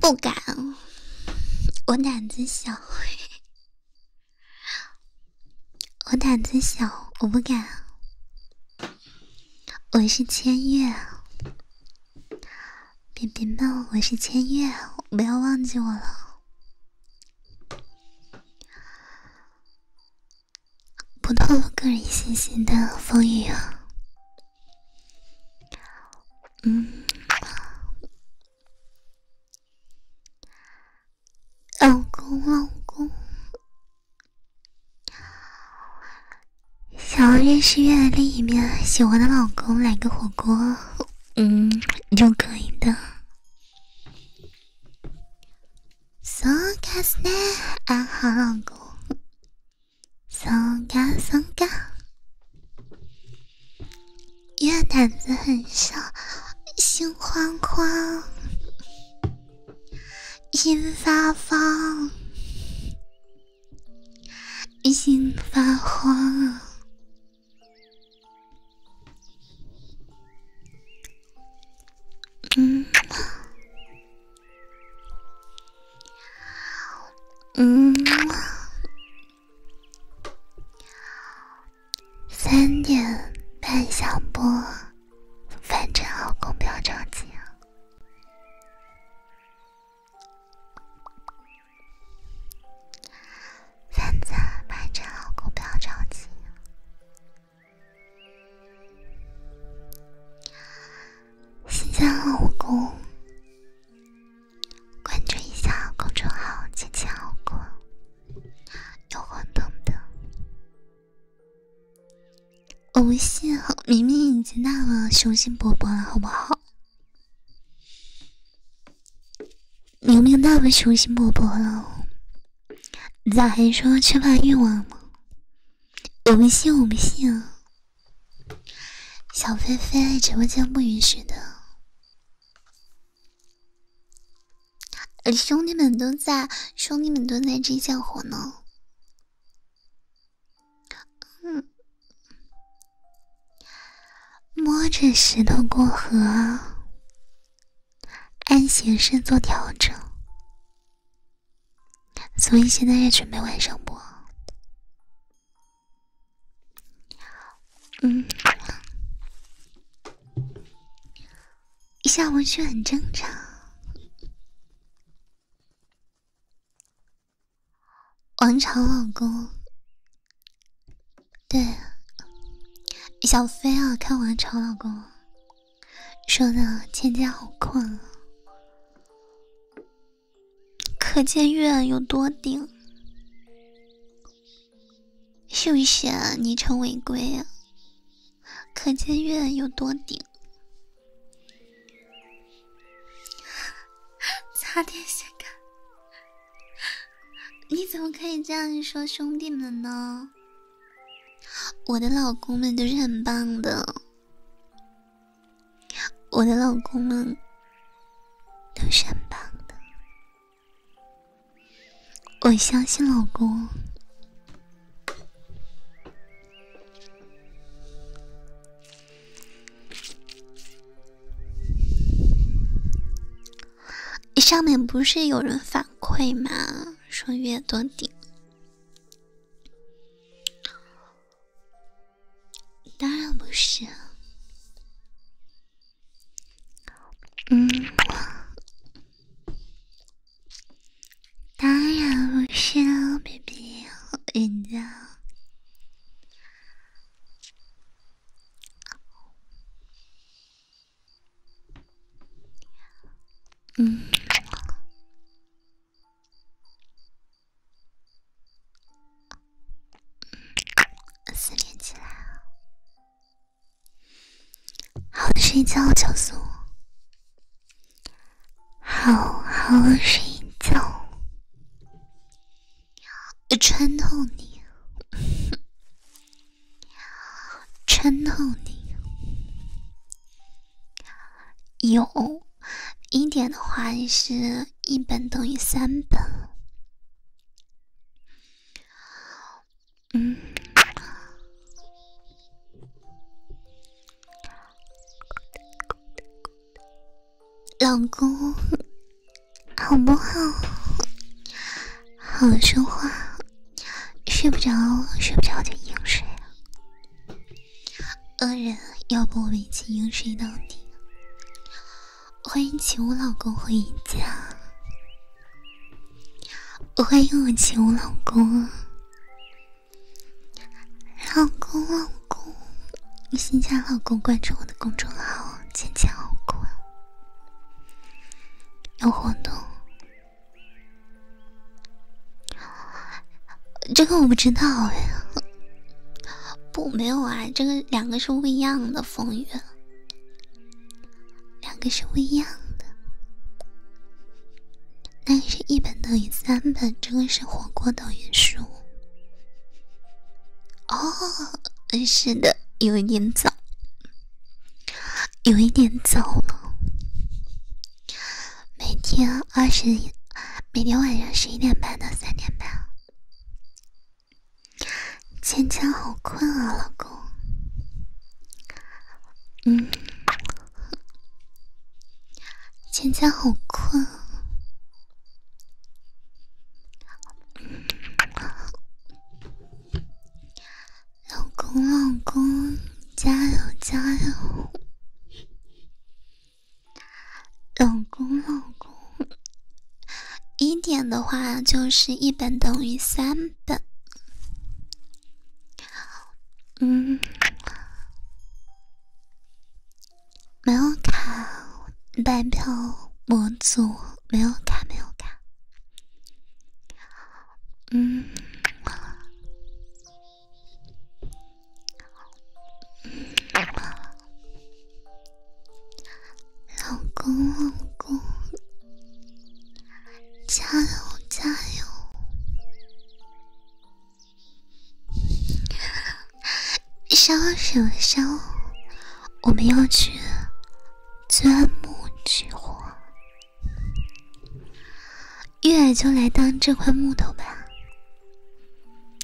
不敢，我胆子小，我胆子小，我不敢。我是千月，别别闹，我是千月，不要忘记我了。不透露个人信息的风雨啊。嗯，老公，老公，想要认识月的另一面，喜欢的老公来个火锅，嗯，就可以的。So c a s d n i g h 老公。松嘎松嘎，越胆子很小，心慌慌，心发慌，心发慌，嗯。嗯，三点半下播，反正老公不要着急啊。反正反正老公不要着急。新疆老公，关注一下公众号“姐姐老公”，有活动的。我不信，明明已经那么雄心勃勃了，好不好？明明那么雄心勃勃了，咋还说缺乏欲望呢？我不信，我不信。小飞飞，直播间不允许的。兄弟们都在，兄弟们都在这相活呢。嗯，摸着石头过河，按形式做调整。所以现在也准备晚上播，嗯，一下午去很正常。王朝老公，对，小飞啊，看王朝老公说的，芊芊好困啊。可见月有多顶，秀啊？昵称违规。可见月有多顶，差点血干。你怎么可以这样说兄弟们呢？我的老公们都是很棒的。我的老公们都是很棒的，我相信老公。上面不是有人反馈吗？说越多顶。当然不是，嗯，当然不是，baby，我赢了，嗯。思念起来，好的，睡觉，小苏，好好睡觉，穿透你，穿透你。有一点的话是一本等于三本，嗯，老公好不好？好说话，睡不着睡不着就硬睡恶人，要不我们一起硬睡到底？欢迎晴武老公回家，欢迎我晴武老公，老公老公，新加老公关注我的公众号“坚强老公”，有活动。这个我不知道哎，不，没有啊，这个两个是不一样的，风雨，两个是不一样的，那个是一本等于三本，这个是火锅等于书，哦，是的，有一点早，有一点早了。每天二十，每天晚上十一点半到三点半。芊芊好困啊，老公。嗯，芊芊好困。老公，老公，加油，加油。老公，老公，一点的话就是一本等于三本。嗯，没有卡，代票模组没有卡，没有卡。嗯。老公，老公，加油，加油！收收烧！我们要去钻木取火。月就来当这块木头吧。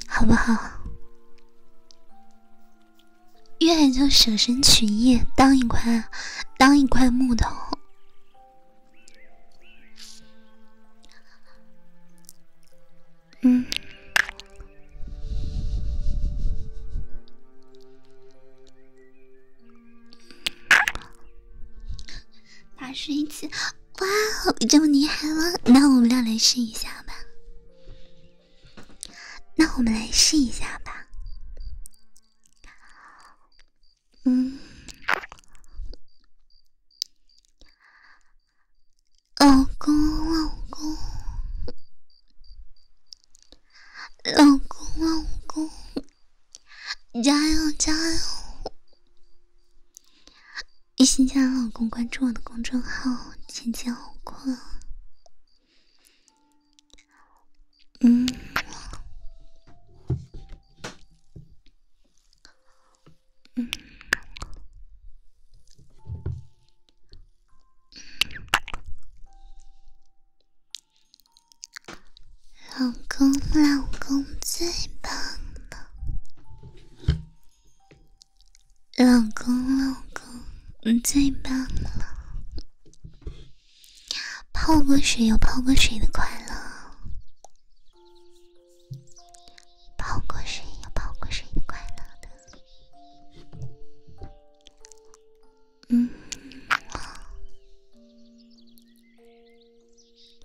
好不好？愿意就舍身取义，当一块，当一块木头。嗯。八十一次，哇，哦，这么厉害了！那我们俩来试一下吧。那我们来试一下吧。嗯，老公，老公，老公，老公，加油，加油！一心疆老公，关注我的公众号，姐姐好困。嗯嗯，老公，老公最棒了。老公，老公，你最棒了！泡过水有泡过水的快乐，泡过水有泡过水的快乐的，嗯。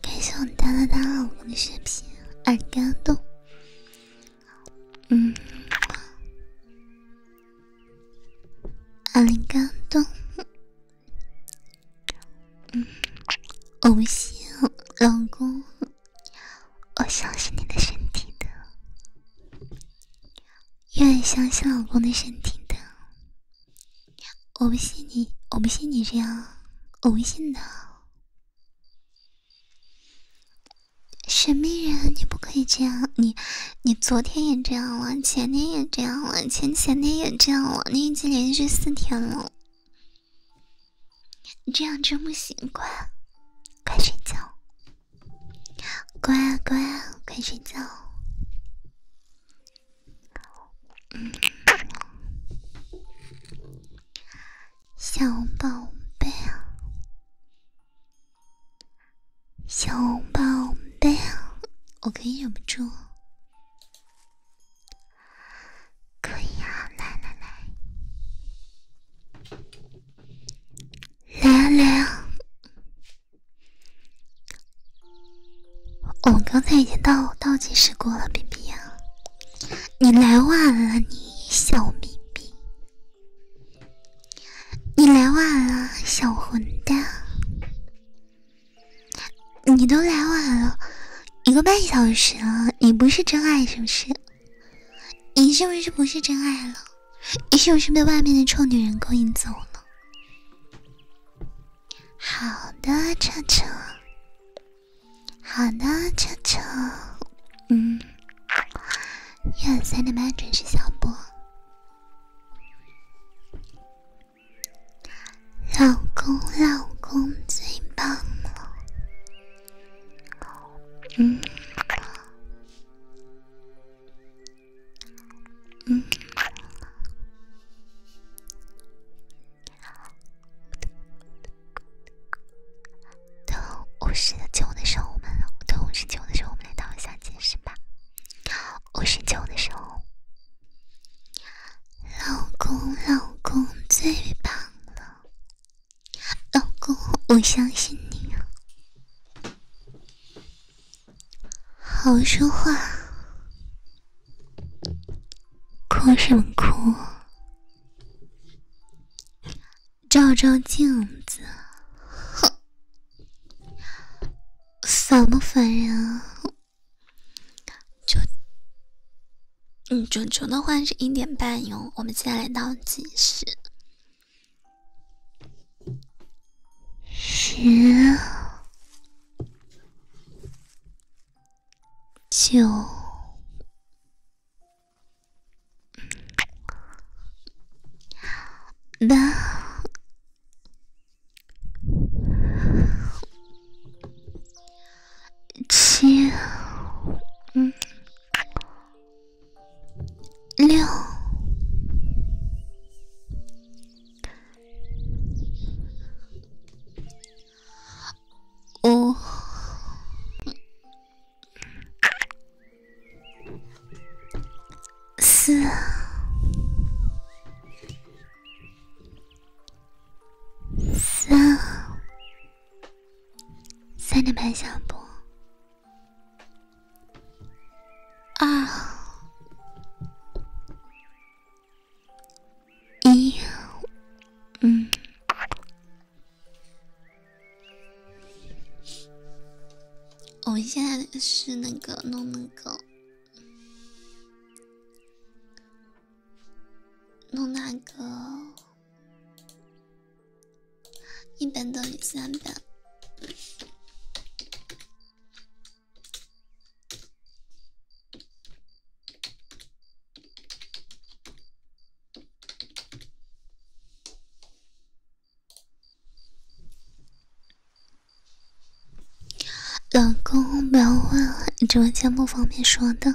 感谢我哒哒哒老公的视频，爱感动，嗯，爱感动，嗯，我不行，老公，我相信你的身体的，愿意相信老公的身体的。我不信你，我不信你这样，我不信的。神秘人，你不可以这样，你你昨天也这样了，前天也这样了，前前天也这样了，你已经连续四天了，你这样真不习惯，快睡觉，乖乖，快睡觉。小宝贝啊，小宝贝啊，我可以忍不住，可以啊，来来来，来来。我们刚才已经倒倒计时过了，BB 呀，你来晚了，你小咪 b 你来晚了，小混蛋，你都来晚了一个半小时了，你不是真爱是不是？你是不是不是真爱了？你是不是被外面的臭女人勾引走了？好的，车车，好的，车车，嗯，晚上三点半准时下播，老公，老公最棒了，嗯。嗯，等五十九的时候，我们等五十九的时候，我们来倒一下计时吧。五十九的时候，老公，老公最棒了，老公，我相信你啊，好说话。哭什么哭？照照镜子，哼，烦不烦人啊？就，嗯，主持的话是一点半哟，我们现在来倒计时，十。九、八、七、六。五、四、三，三点半下播。二。一，嗯，我们现在是那个弄那个，弄那个一本等于三本。老公，不要问了，你直播间不方便说的。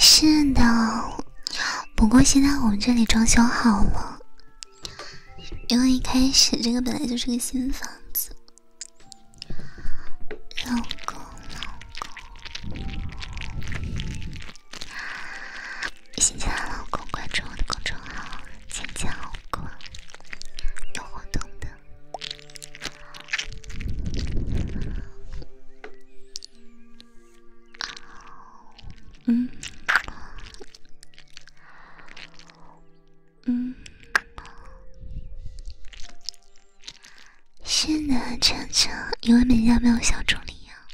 是的，不过现在我们这里装修好了，因为一开始这个本来就是个新房子。老公，老公，新家老公，关注我的公众号“浅浅老公”，有活动的。嗯嗯，是的，晨晨，因为美家没有小助理呀。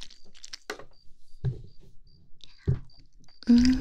嗯。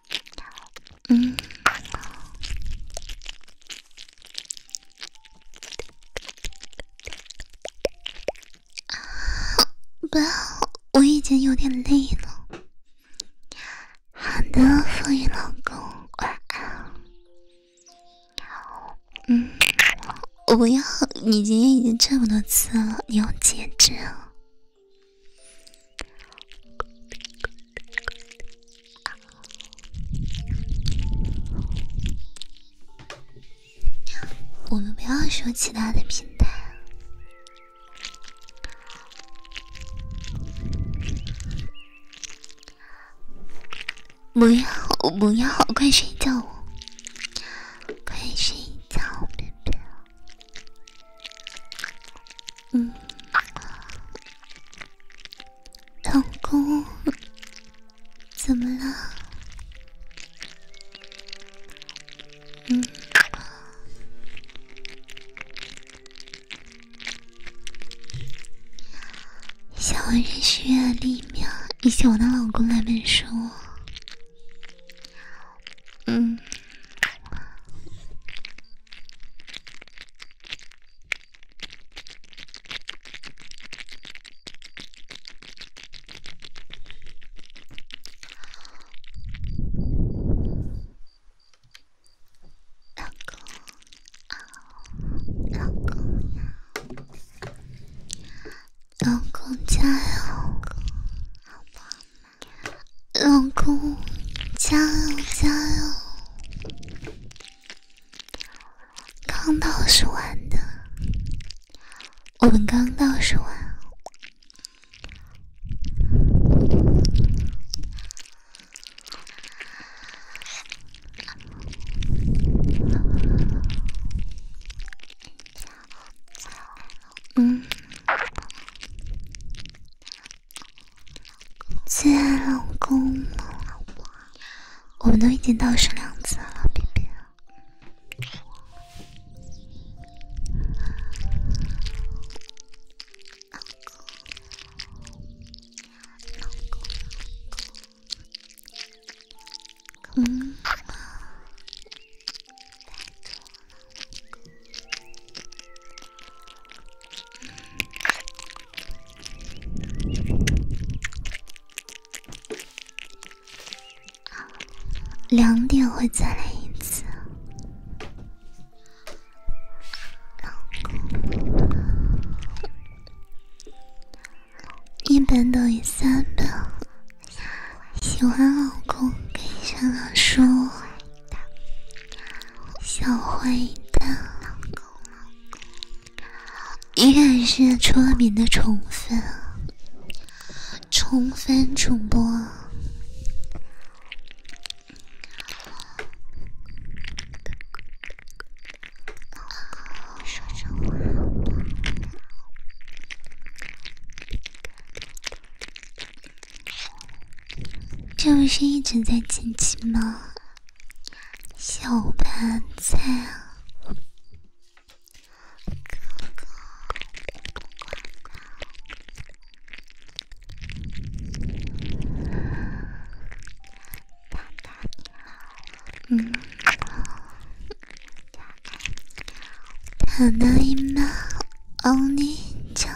嗯，不要，我已经有点累了。好的，风雨老公，晚安。嗯，我不要，你今天已经这么多次了，你要节制啊。我们不要说其他的平台。不要，不要，快睡觉，快睡觉，我不嗯，老公，怎么了？嗯，小文人需要一秒，以及我的老公来本书。嗯，老公，老公老公加油，好吗？老公，加油加油！刚倒数完的，我们刚倒数完。嗯。最爱老公，老公，我们都已经到十两次了，别别。老公，老公，老公，老公。两点会再来一次。老公，一本等于三本，喜欢老公可以向他说。小坏蛋，依然是出名的宠粉宠粉主播。这不是一直在亲亲吗，小白菜啊！哥哥，哥いま、お一秒，奥尼酱。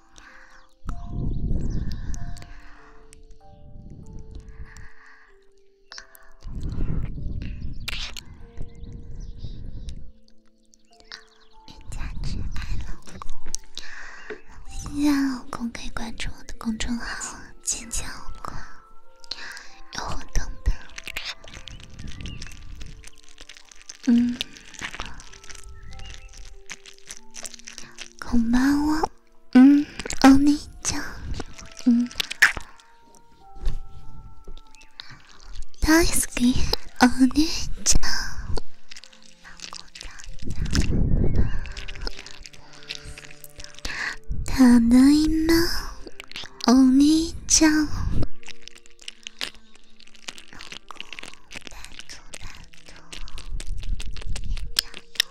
冤家之爱，老公。新来老公可以关注我的公众号“尖叫公”，有活动的。嗯，こんばうんお兄ちゃん大好きお姉ちゃんただいまお姉ちゃん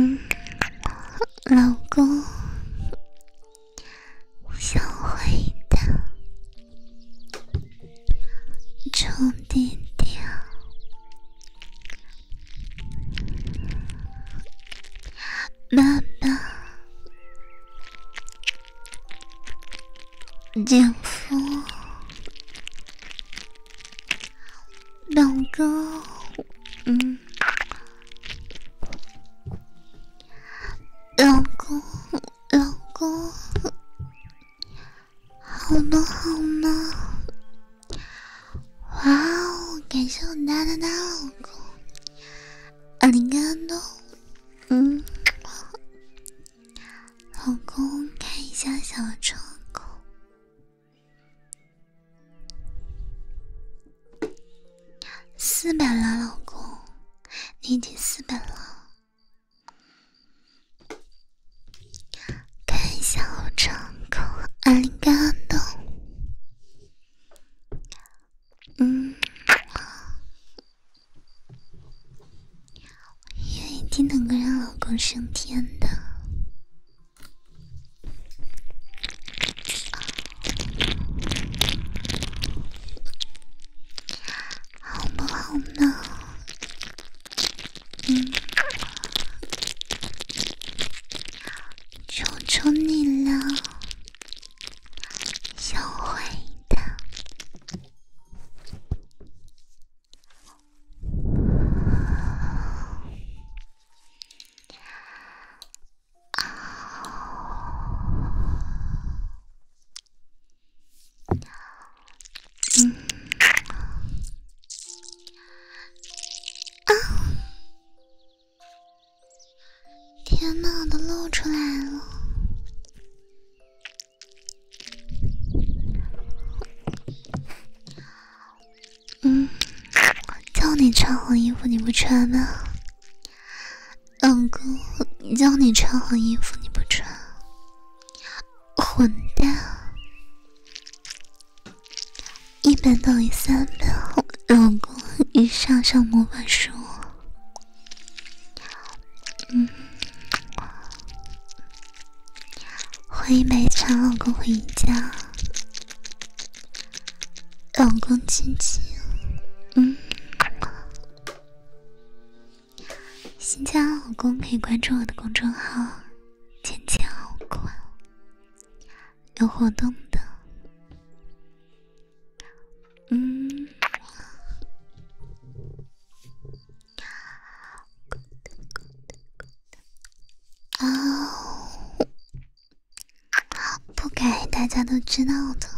嗯，老公，我想回到床底掉。妈妈，姐夫，老公，嗯，老公，老公，好吗？好吗？哇哦，感谢我哒哒哒老公，阿里根多，嗯，老公看一下小窗口，四百了，老公，你已经四百了。开小窗口，爱感动。嗯，我一定能够让老公升天的，好不好呢？嗯。求求你了，小坏蛋！啊，嗯。啊！天哪，我都露出来了。嗯，叫你穿好衣服你不穿吗，老公？叫你穿好衣服你不穿，混蛋！一本等于三本，老公，一上上魔法书。嗯，欢迎白茶老公回家，老公亲亲。嗯，新加老公可以关注我的公众号“浅浅老公”。有活动的，嗯，啊，不改大家都知道的，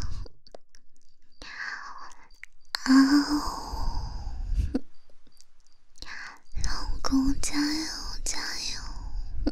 啊，老公加油加油！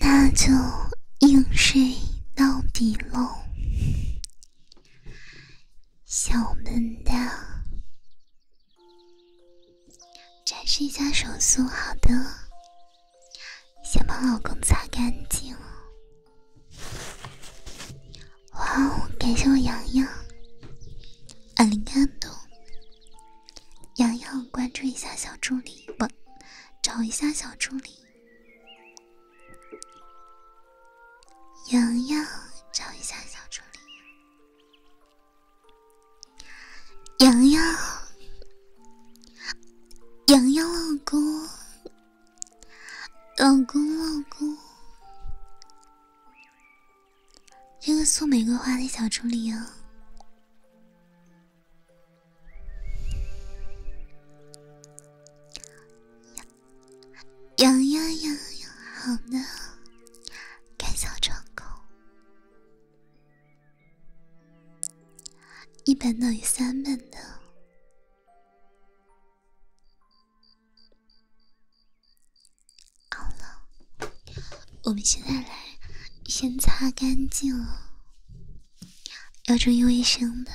那就硬睡到底喽，小笨蛋！展示一下手速，好的，先把老公擦干净。哇哦，感谢我洋洋阿 l i 多。洋洋，关注一下小助理，不，找一下小助理。洋洋，找一下小助理。洋洋，洋洋老公，老公老公。这个送玫瑰花的小助理哦。痒呀痒呀，好的，开小窗口，一本等于三本的。好了，我们现在来先擦干净了，要注意卫生的。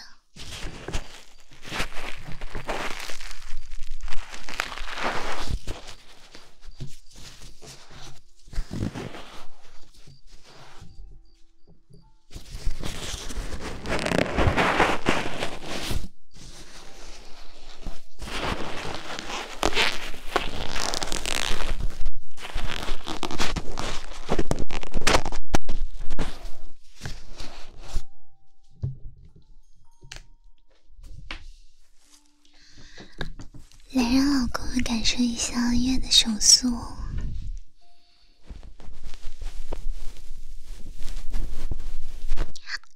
来让老公感受一下月的手速。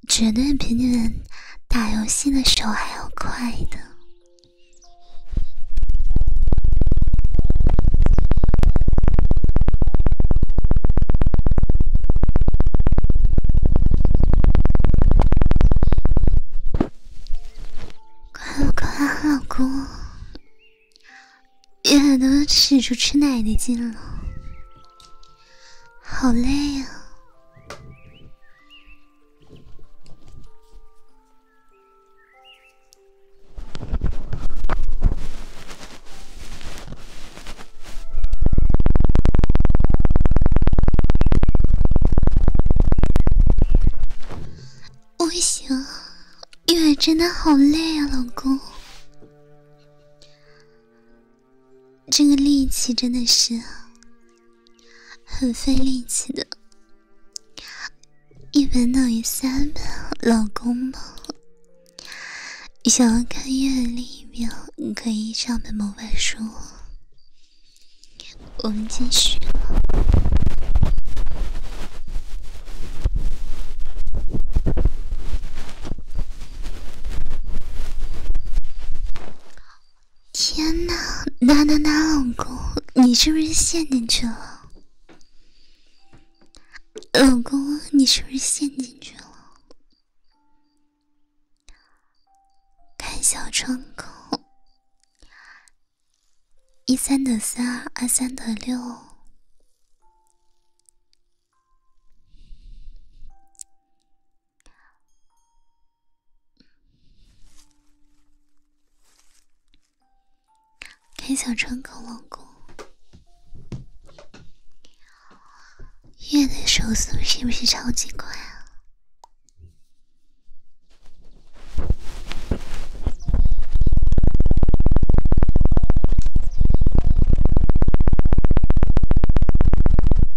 绝对比你们打游戏的手还要快的，快快，老公？也都使出吃奶的劲了，好累啊！不行，月真的好累啊，老公。这个力气真的是很费力气的，一本等于三本，老公吗？想要看阅历吗？可以上本魔法书，我们继续。天哪！哪哪哪，老公，你是不是陷进去了？老公，你是不是陷进去了？看小窗口，一三得三，二三得六。开小窗口，老公，你的手速是不是超级快啊？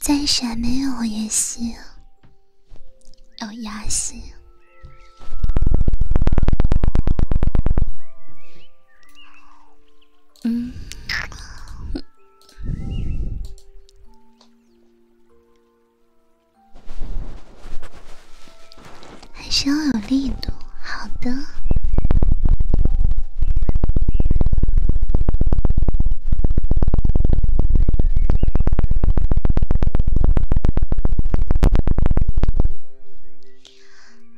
暂时没有也行，有牙行。嗯。还是要有力度。好的。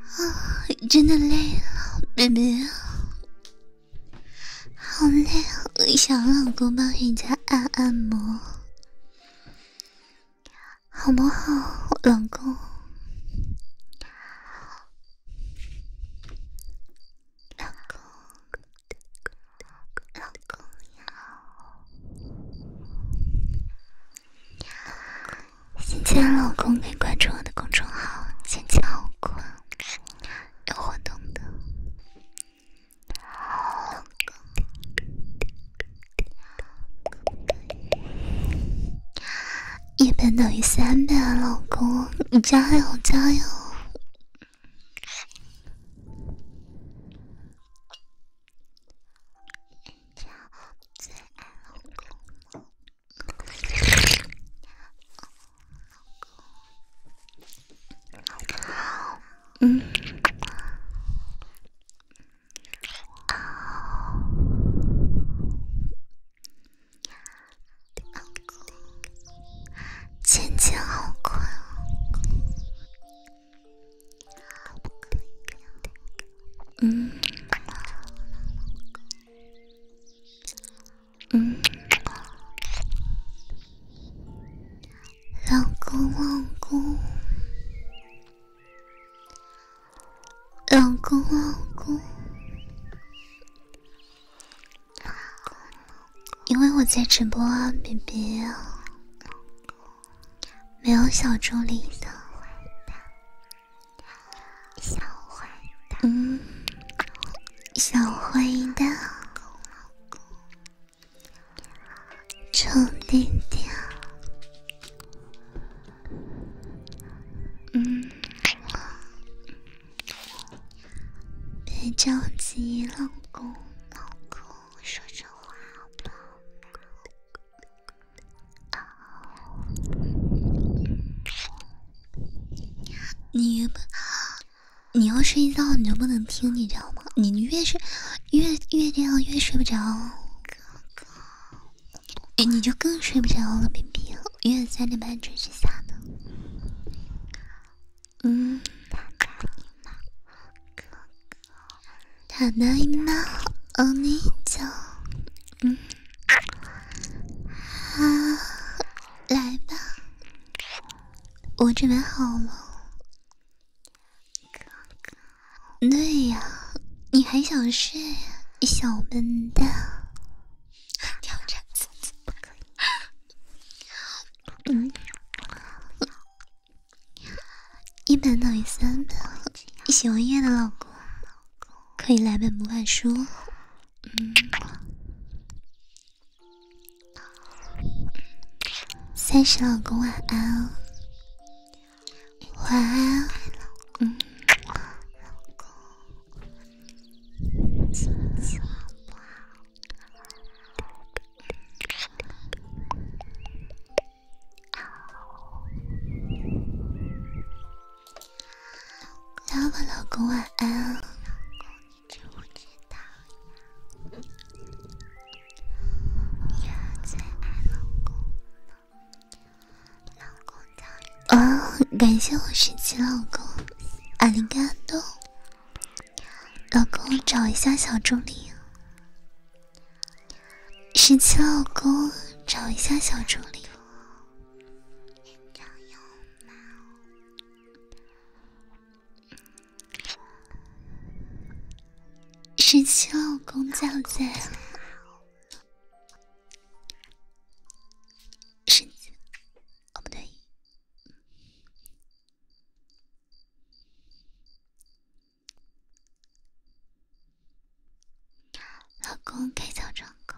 啊，真的累了，baby，好累啊！我想老公帮人家按按摩。好不好，老公？老公，老公要。新进来老公，可以关注我的公众号“坚强老公”，有活动的。一本等于三倍，老公，你加油加油！嗯。啊，老公，渐渐好困啊。嗯，嗯，老公，老公。老公，老公，因为我在直播啊，比比啊，没有小助理的，小坏蛋，嗯，小坏蛋，臭弟弟。嗯，别着急老公老公，说说话好不好？你你要睡觉，你就不能听，你知道吗？你越是越越这样，越睡不着。哥哥，哎，你就更睡不着了，冰冰，因为三点半准时下的。嗯。他奶妈，哥哥，他奶妈，哦，你走，嗯。啊，来吧，我准备好了。哥哥。对呀，你还想睡，小笨蛋！挑战自己不可以。嗯，一本等于三本，喜欢夜的老公，可以来本魔法书。嗯，三十老公晚安。晚安，老公。老公，今晚好不好？老公，老公，晚安。老公，你知不知道？儿子爱老公。哦，感谢我十七老公，阿灵嘎多，老公找一下小助理，十七老公找一下小助理，十七老公在不在？身子，哦不对，老公开小窗口。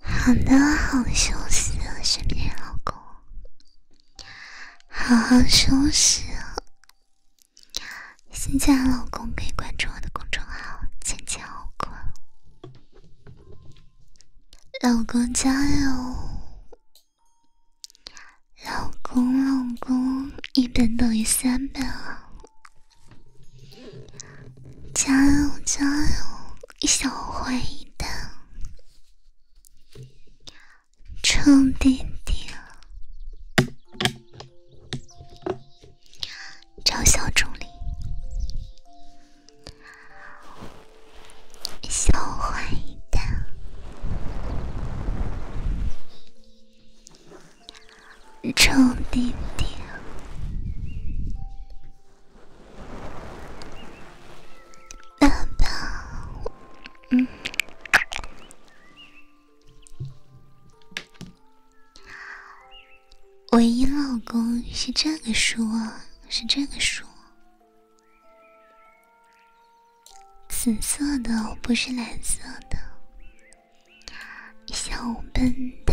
好的，好休息，啊，身边老公。好好休息。新进的老公可以关注我的公众号“前前后后”，老公加油。老公，老公，一本等于三本啊。加油加油！小坏蛋，臭弟弟，找小助理，小坏蛋，臭弟弟。爸爸，嗯，唯一老公是这个书，是这个书，紫色的，不是蓝色的，小笨蛋。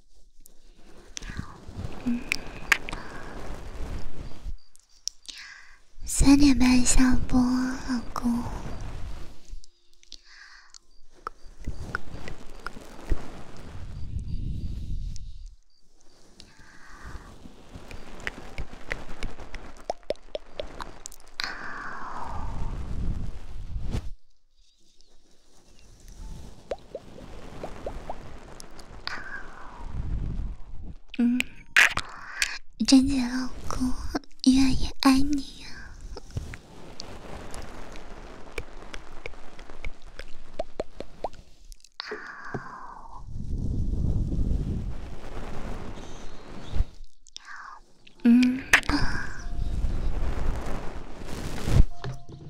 三点半下播，老公。嗯，贞姐老公，愿意爱你呀。嗯。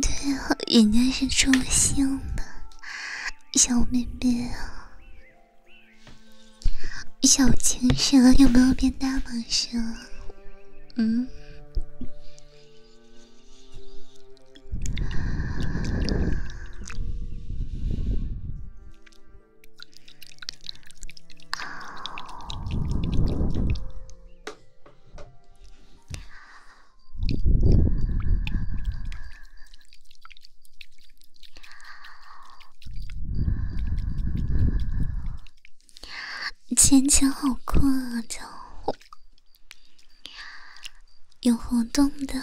对啊，人家是中性的，小妹妹啊，小情蛇有没有变大蟒蛇？嗯？前前好困啊，就有活动的。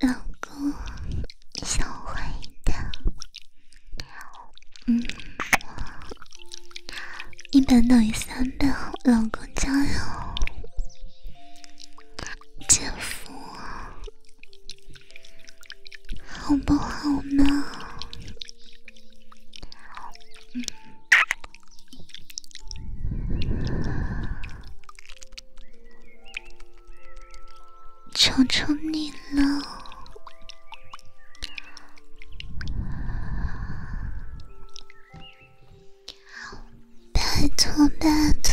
老公，你想我坏一点？嗯，一倍等于三的老公加油！姐夫，好不好呢？嗯。求求你了，拜托拜托。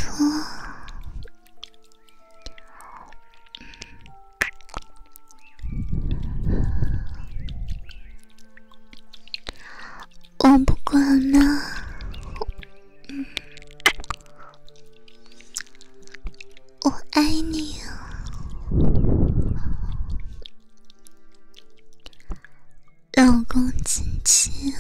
我不管呢。我爱你啊，老公亲亲。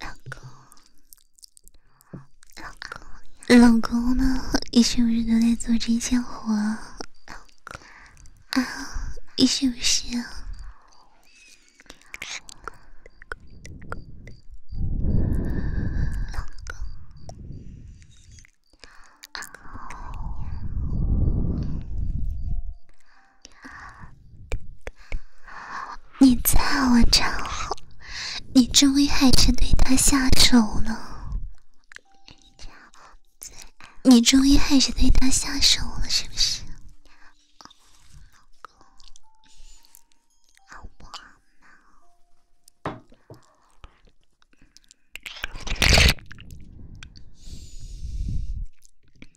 老公，老公，老公呢？你是不是都在做针线活？啊，你是不是？你在我这，后，你终于还是对他下手了。你终于还是对他下手了，是不是？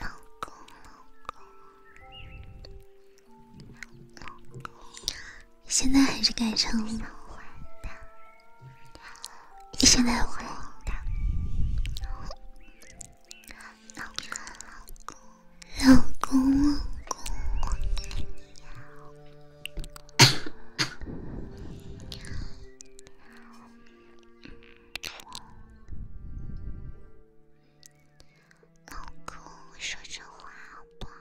老公，老公，老公，现在还是改成“你现在“老老公，老公，老公。老公，说这话好不好？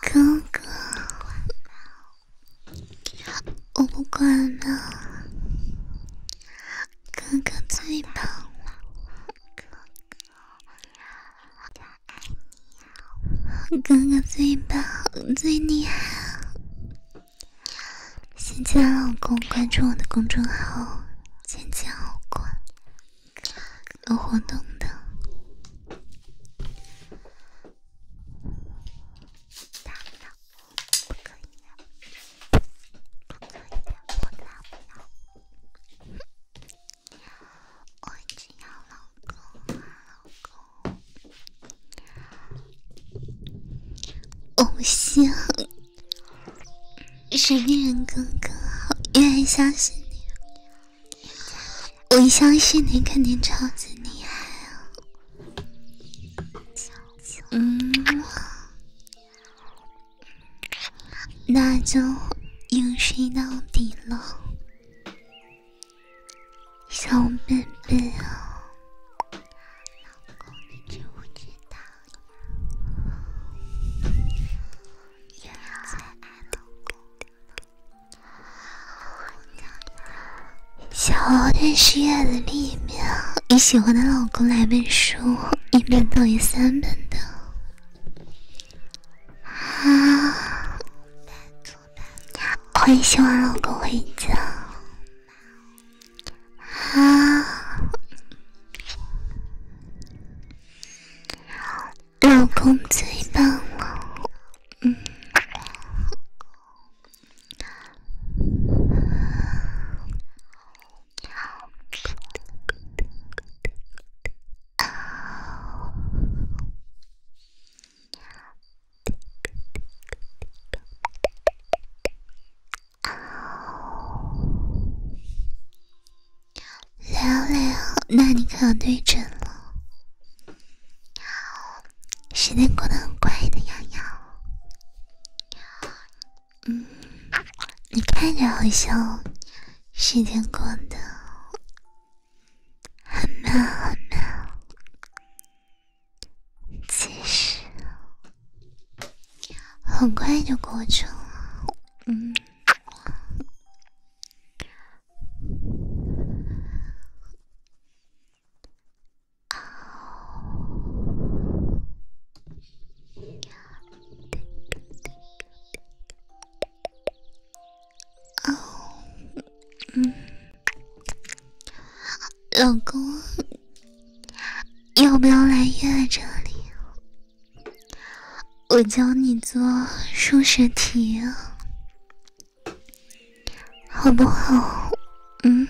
哥哥。我不管了，哥哥最棒了，哥哥哥哥最棒最厉害啊！新进来老公，关注我的公众号“芊芊老公”，有活动的。不可以，不可以！我打死，我一要老公，老公，偶像，神秘人哥哥，我越来相信你，我相信你肯定超级厉害。嗯，那就硬睡到底了，小妹妹啊，老公你知不知道？小猫在书的另一面，你喜欢的老公来背书，一本等于三本的。啊！我也喜欢老公回家。啊！老公最棒了。嗯。累不累啊？那你可要对准了。时间过得很快的，瑶瑶。嗯，你看着好像时间过得很慢很慢，其实很快就过去了。嗯。哦，嗯，老公，要不要来夜这里？我教你做数学题，好不好？嗯。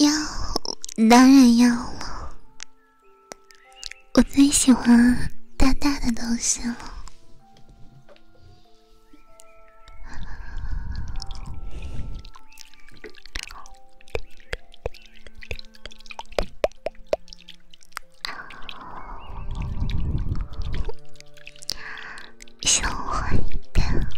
要，当然要了。我最喜欢大大的东西了。小换一遍，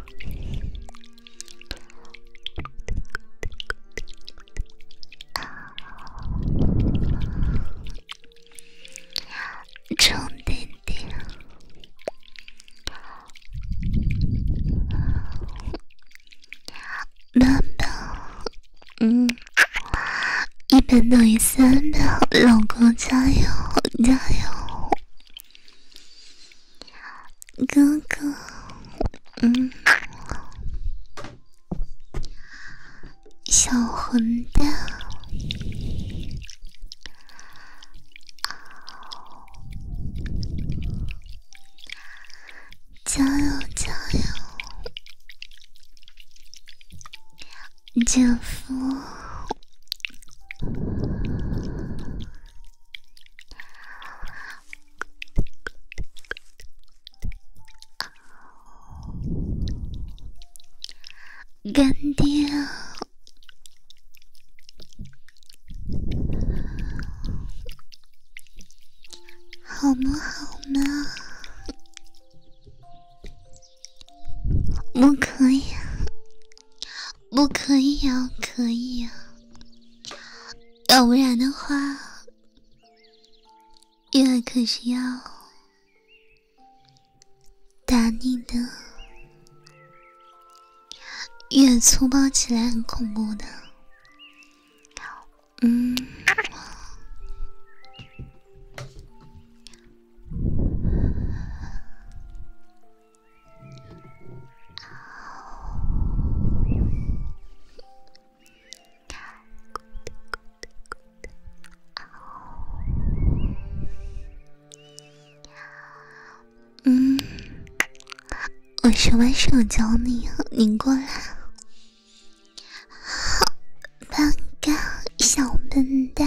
重定定，慢嗯，一百等于三秒，老公加油，加油。哥哥，嗯，小混蛋，加油加油，姐夫。干爹，好不好嘛？不可以。不可以呀，可以呀，要不然的话，月儿可是要打你的，越粗暴起来很恐怖的，嗯。嗯，我什么时候教你呀？你过来，笨蛋，小笨蛋。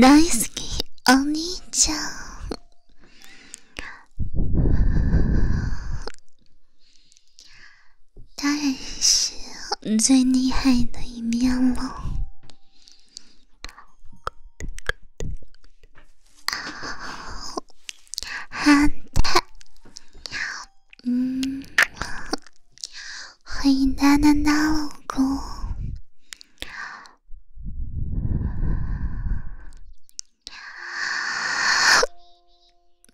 大好きお兄ちゃん他好き、最厉害的一面了。反対。うん。欢迎大南大老公，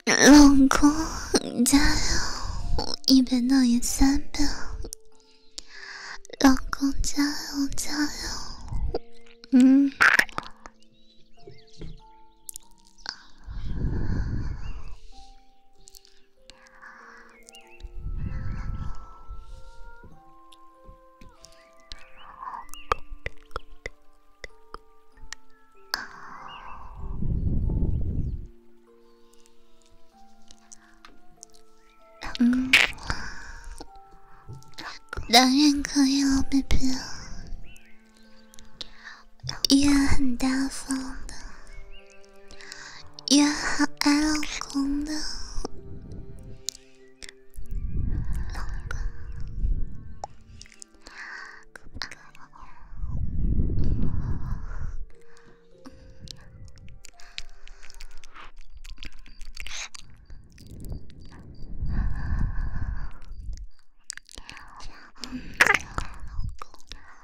老公加油！一本道也三本。老公加油加油！嗯。嗯，当然可以了，baby，依然很大方的。也很爱老公的，老公。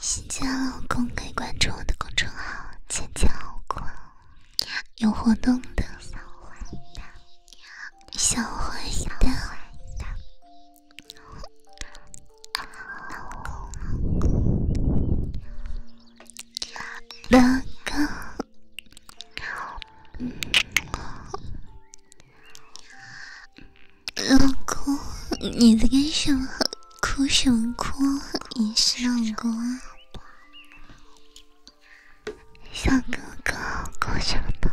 新晋老公可以关注我的公众号“浅浅好困”，有活动的。老公，老公，你在干什么？哭什么哭？你是老公，啊？小哥哥，哭什么？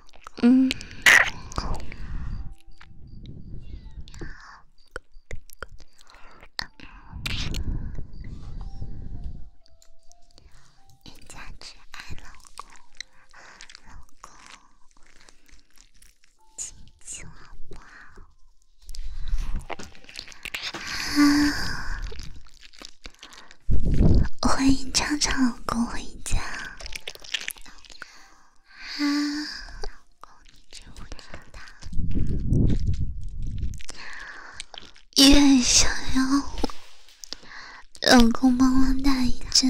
嗯，喵，对对家之爱老公，老亲亲好不好？啊，欢迎超超老公回家。啊，老公，你真伟大！也很想要，老公帮忙带一只。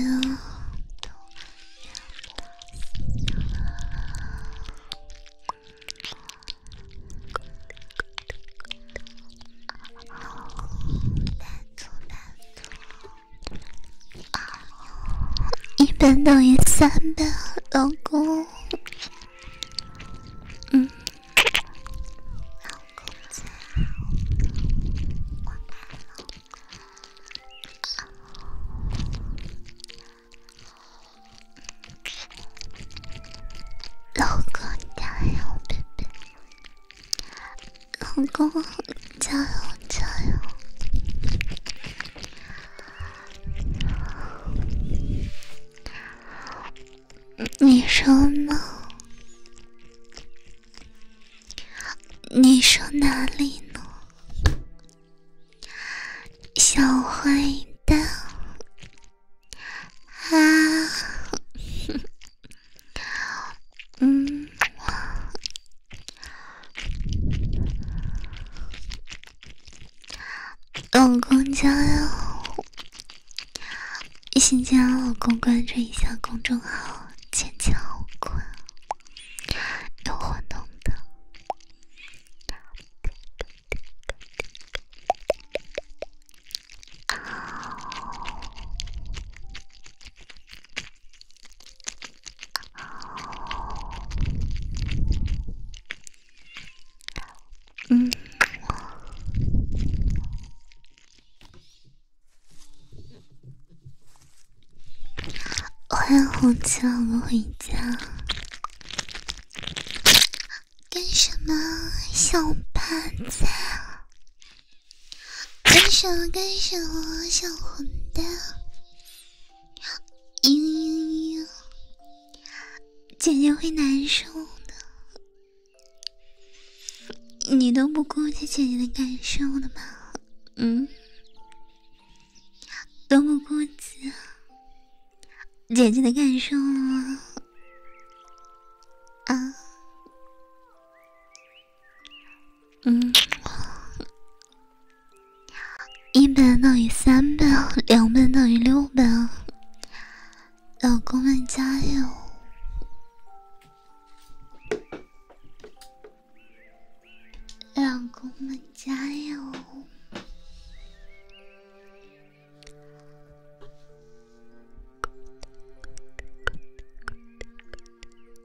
一本等于三本，老公。嗯，老公，老公加油，宝贝，老公。加油，加油！你说呢？你说哪里呢，小坏蛋？啊，嗯。老公加油！新心家，老公关注一下公众号“坚强果”，有活动的。嗯，欢迎红旗我们回家。干什么，小胖子？干什么？干什么，小混蛋？嘤嘤嘤，姐姐会难受的。你都不顾及姐姐的感受的吗？嗯，都不顾及姐姐的感受吗？啊。嗯，一本等于三本，两本等于六本。老公们加油！老公们加油！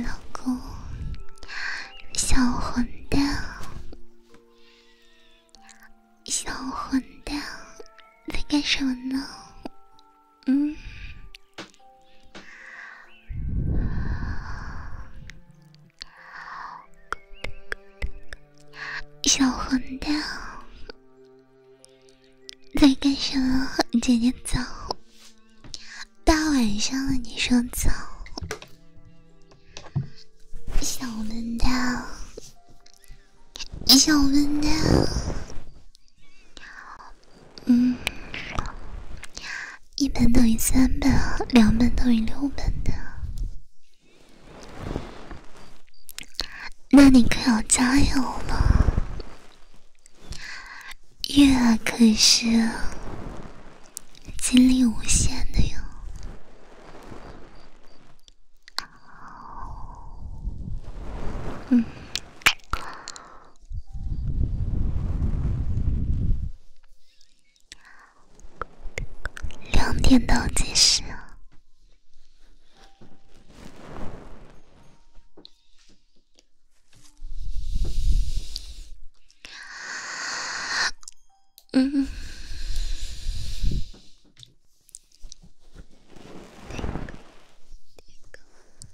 老公，小混蛋，小混蛋，在干什么呢？嗯，小混蛋，在干什么？姐姐早，大晚上了，你说早？小混蛋，小混蛋。嗯，一本等于三本，两本等于六本的。那你可要加油了，月可是精力无限的哟。嗯。两点倒计时嗯。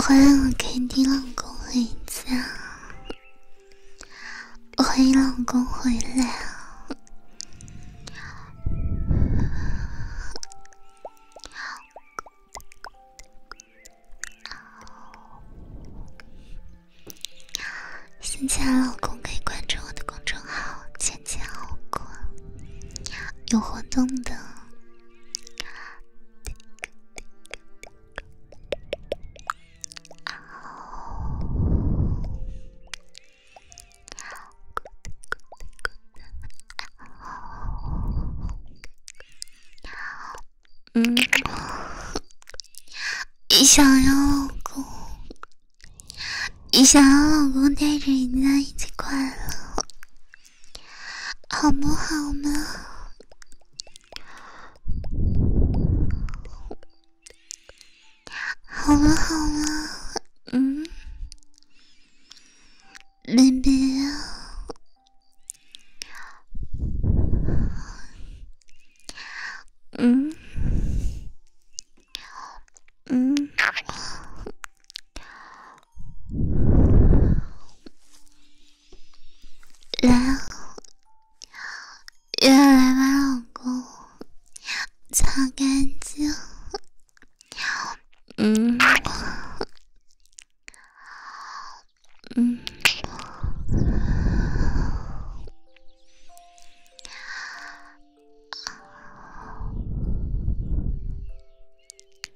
欢迎我 K T 老公回家，欢迎老公回来。新进来老公可以关注我的公众号“浅浅好过”，有活动的。嗯，你想要老公？你想要老公带着人家一起快乐？好不好呢？好不好呢？嗯，离别啊，嗯，嗯。来，夜来吧，老公，擦干净。嗯，嗯。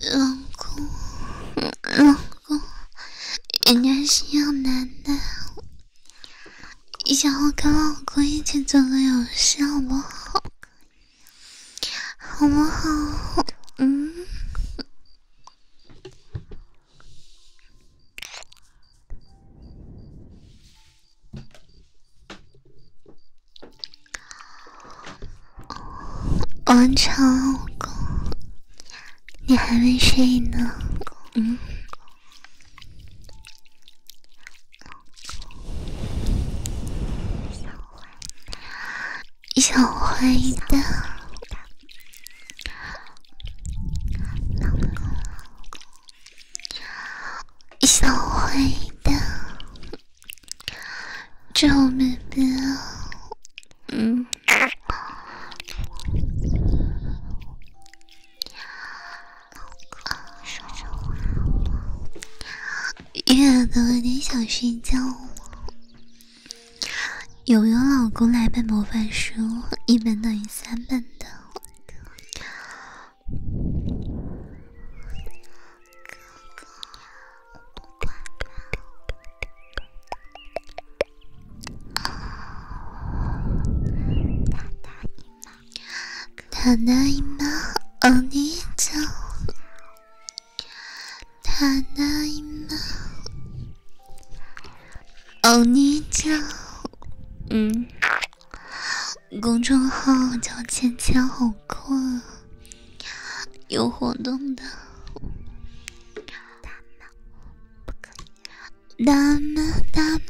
老公，老公，人家需要男的，你想跟老公一起做个游戏好不好？好不好？嗯。王成，老公，你还没睡呢，嗯，小坏蛋，小坏蛋，小救命！嗯，老说着话吗？月子有点想睡觉了。有没有老公来本魔法书，一本等于三本的？哥哥，我不管他。他打你吗？他打你吗？欧尼酱，他你嗯，公众号叫芊芊，好困。よほどんだ。ダメダメ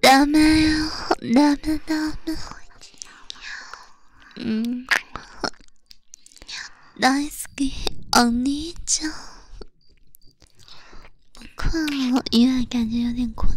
ダメよダメダメうん大好きお兄ちゃん僕は岩井キじゅうでこんな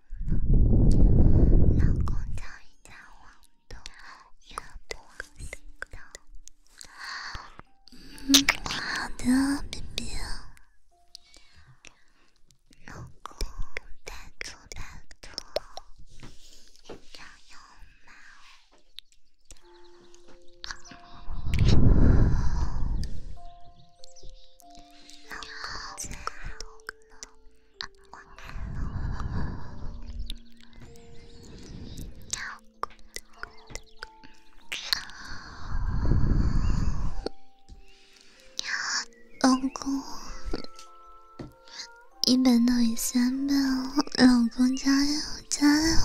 老公，叫一叫我都有点困，嗯，好的，baby，老公，拜托，拜托，加油嘛！老公，一本等于三本，了，老公加油加油！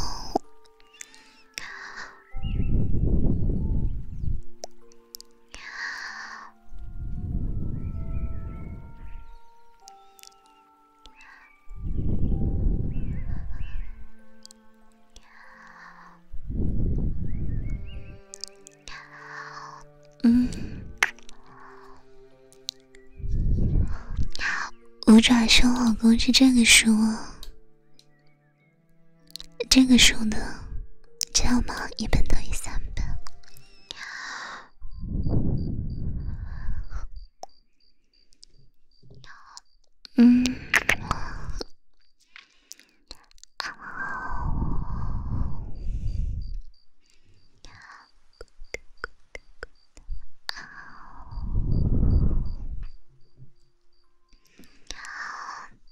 嗯，五爪兄老公是这个说。这个数的，知道吗？一本等于三本。嗯。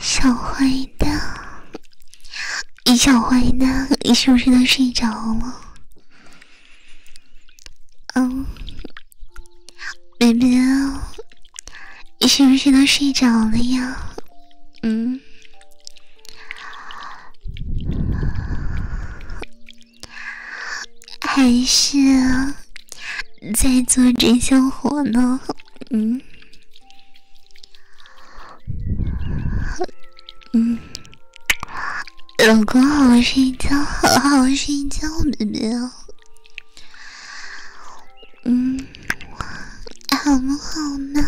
小坏蛋，小坏蛋，你是不是都睡着了？嗯，baby，你是不是都睡着了呀？嗯，还是在做真香活呢？嗯，嗯，老公，好好睡觉，好好睡觉，宝贝，嗯，好不好呢？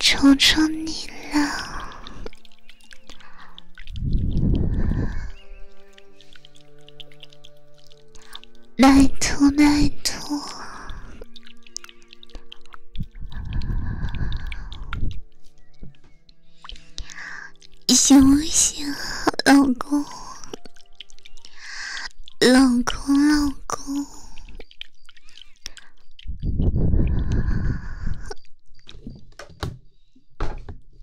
求求你了。拜托，拜托，醒醒，老公，老公，老公。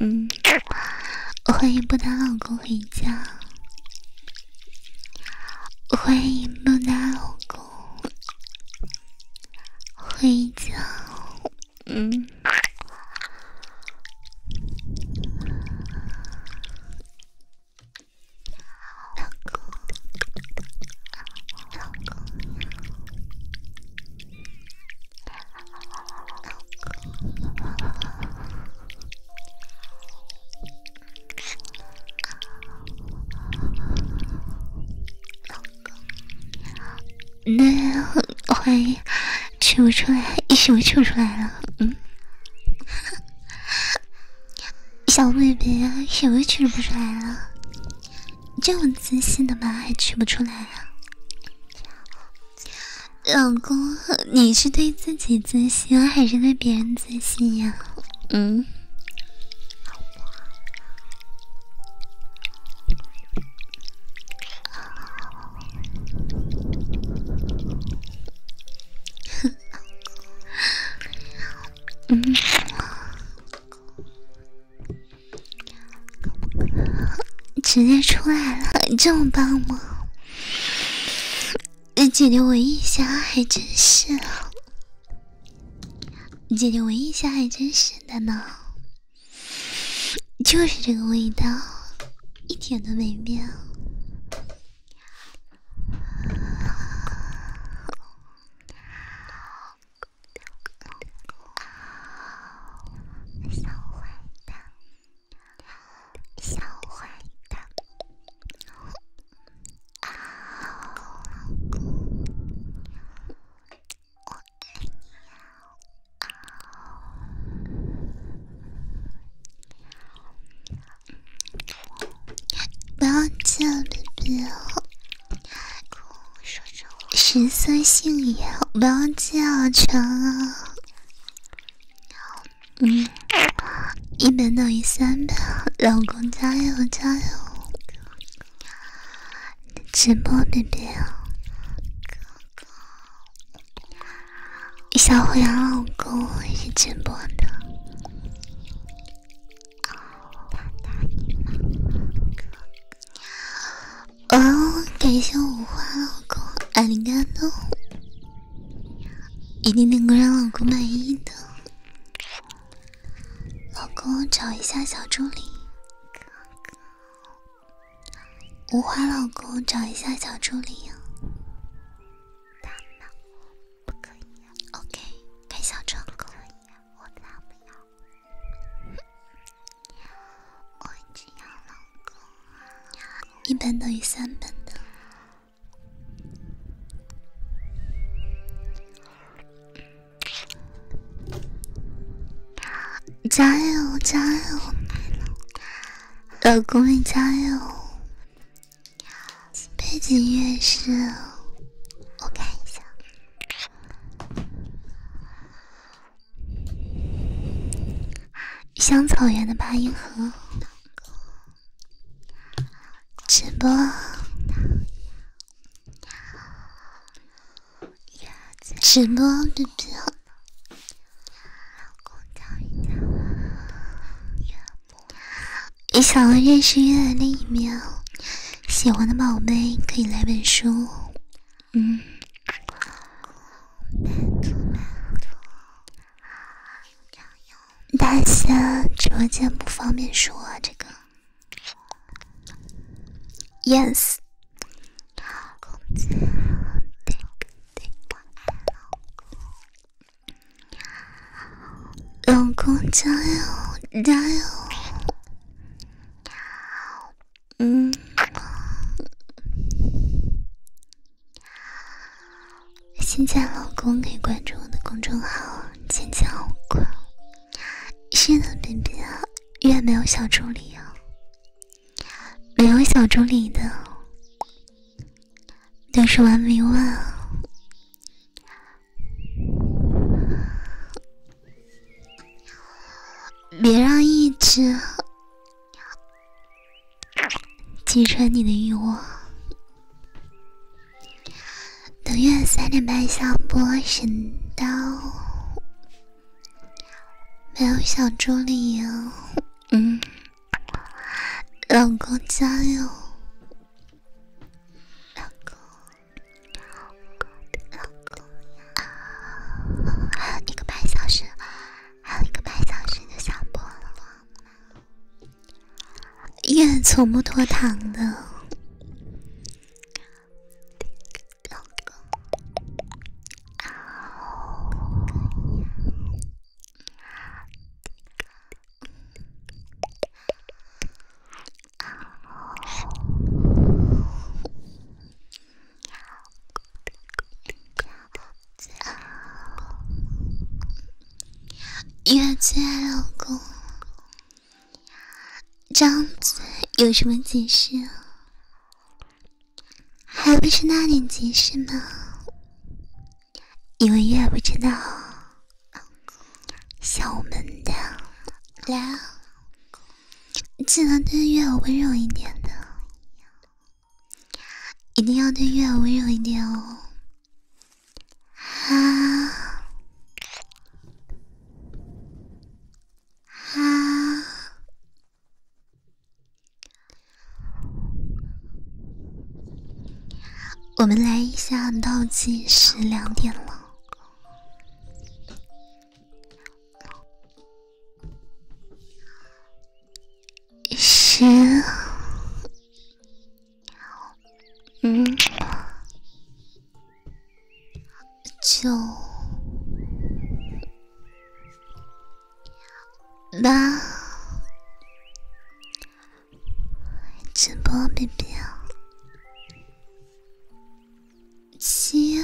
嗯，欢迎不打老公回家，欢迎不打老公回家，嗯，老公，老公。那我怀疑取不出来，一修取出来了。嗯，小妹妹，什么取不出来了？这么自信的吗？还取不出来啊？老公，你是对自己自信还是对别人自信呀？嗯，嗯，直接出来了，这么棒吗？姐姐闻一下，还真是。姐姐闻一下，还真是的呢，就是这个味道，一点都没变。小坏蛋。小坏蛋，啊！我爱你啊！不要叫 baby 哦，说真话。十三星爷，不要叫成啊！嗯，一百等于三百，老公加油加油！直播那边，小虎狼老公是直播的。哦，感谢五花老公，爱你肝脑。一定能够让老公满意的。老公，找一下小助理。无花老公，找一下小助理。大不可以。OK，开小成功。我不要？我只要老公。一本等于三本的，加油加油，老公你加油！背景音乐是，我看一下，《香草园的八音盒》。直播，直播 b a b 你想认识月一面，喜欢的宝贝可以来本书，嗯。大仙，直播间不方便说这个。Yes。老公加油，加油！嗯。新嫁老公可以关注我的公众号“坚强老公”。是的，B B，越没有小助理哦，没有小助理的都是玩迷雾。别让一直击穿你的欲望。等月三点半下播，神刀没有小助理哦，嗯，老公加油！老公，老公，老公还有一个半小时，还有一个半小时就下播了。月从不拖堂的。月最爱老公，张嘴有什么解释啊？还不是那点解释吗？因为月不知道，小门的，来啊！记得对月温柔一点的。一定要对月儿温柔一点哦！啊啊，我们来一下倒计时，两点了。行，嗯，九，八，直播，B B，七，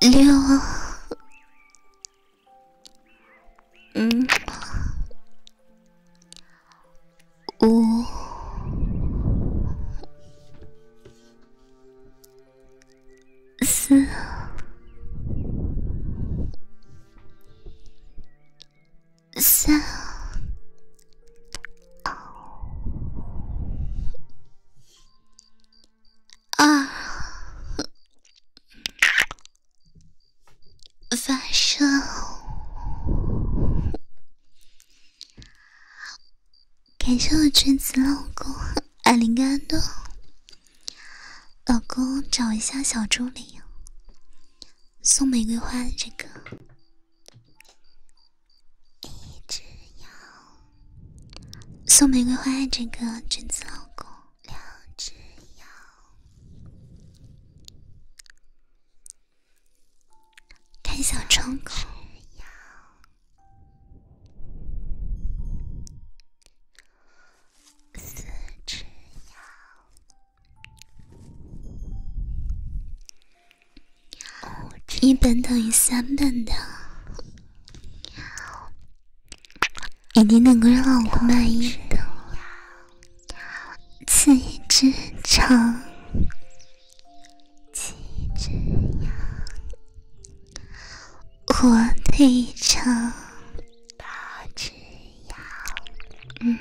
六。嗯，五，四，三，二。啊！发射！感谢我圈子老公艾林甘多，老公找一下小助理，送玫瑰花的这个，一直要。送玫瑰花这个贞子老公，两只羊，开小窗口，一本等于三本的。一定能够让老公满意的。七只羊，七只羊，火腿肠，八只羊，嗯，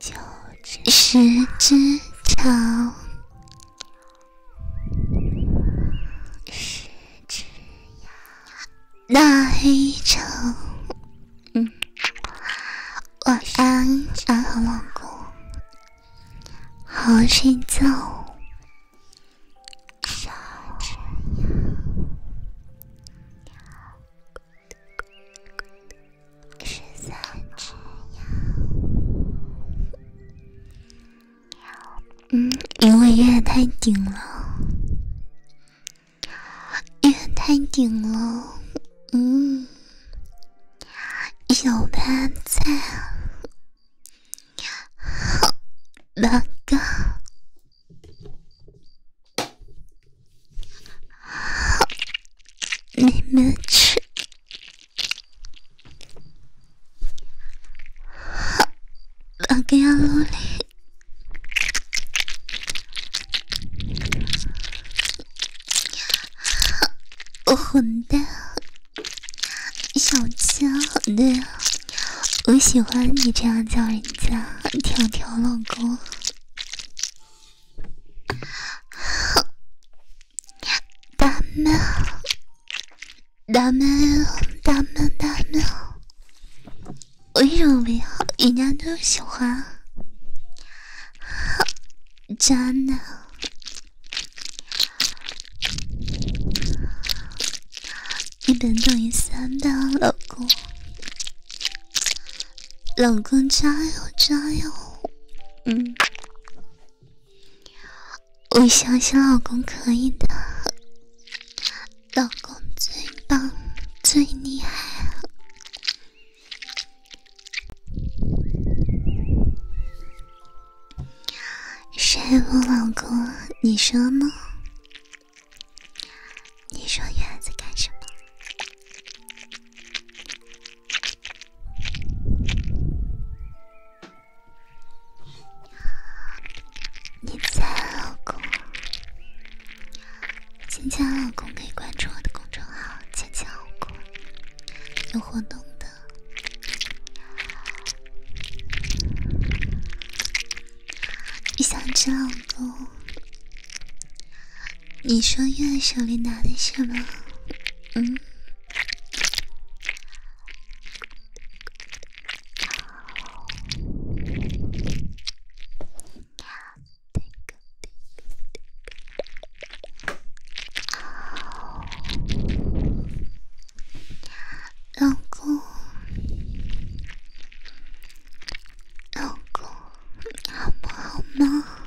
九只，十只长，十只羊，那一场。嗯，晚安，安好老公，好睡觉。十只羊。十三只羊。嗯，因为月太顶了，月太顶了。嗯，有他在啊，好，老哥，好，你们吃。我混蛋，小贱对蛋，我喜欢你这样叫人家，条条老公。大 a 大 n 大 a 大 n damn d 人家都喜欢，渣男，一本等于三的老公，老公加油加油，嗯。我相信老公可以的，老公最棒、最厉害。谁不老公？你说呢？你说月子干什么？你在老公？亲亲，老公可以关注我的公众号“亲亲老公”，有活动的。你想吃，老公？你说月手里拿的什么？嗯。老公，老公，好不好吗？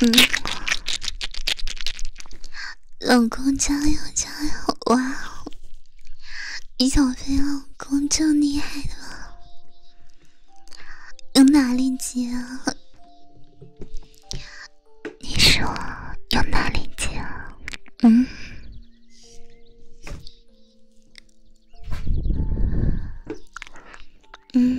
嗯，老公加油加油哇！小飞老公真厉害的，有哪链接啊？你说有哪链接啊？嗯，嗯。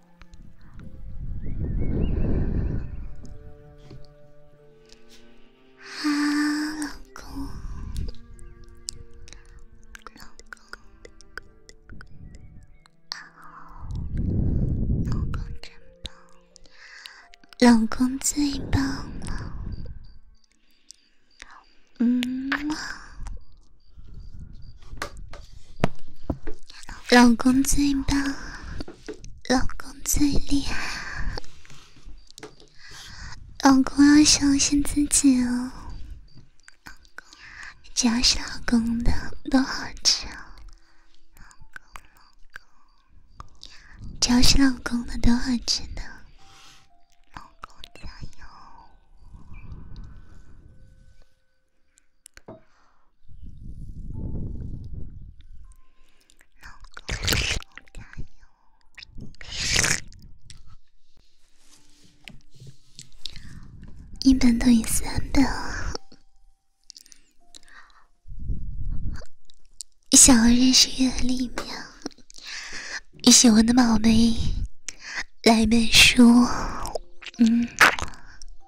啊，老公，老公，老公真棒，老公最棒了，嗯老公最棒。老公最厉害，老公要相信自己哦。只要是老公的都好吃哦。只要是老公的都好吃的。老公加油。一本等于三本，想要认识月历喵？你喜欢的宝贝，来本书，嗯。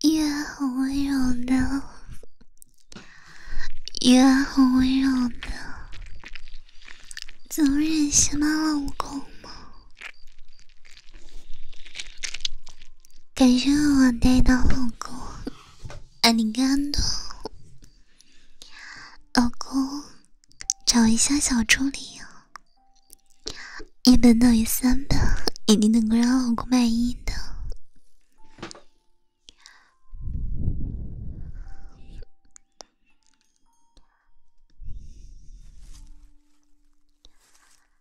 也很温柔的，也很温柔的，怎么忍心骂老公嘛？感谢我带的老公，爱你感动。老公，找一下小助理哦，一本等于三本，一定能够让老公满意的。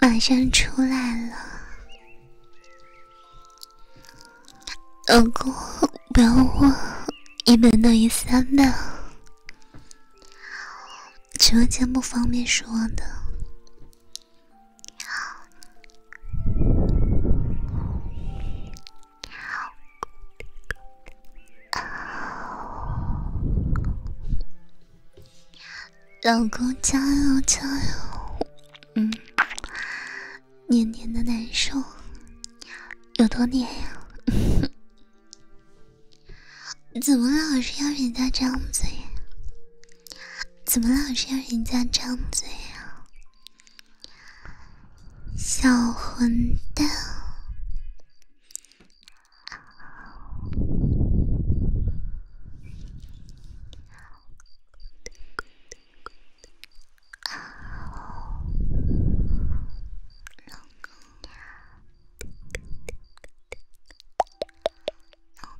马上出来了，老公不要忘，一本等于三本，直播间不方便说的。老公加油加油！嗯，黏黏的难受，有多黏呀？怎么老是要人家张嘴？怎么老是要人家张嘴啊？小混蛋！老公呀，老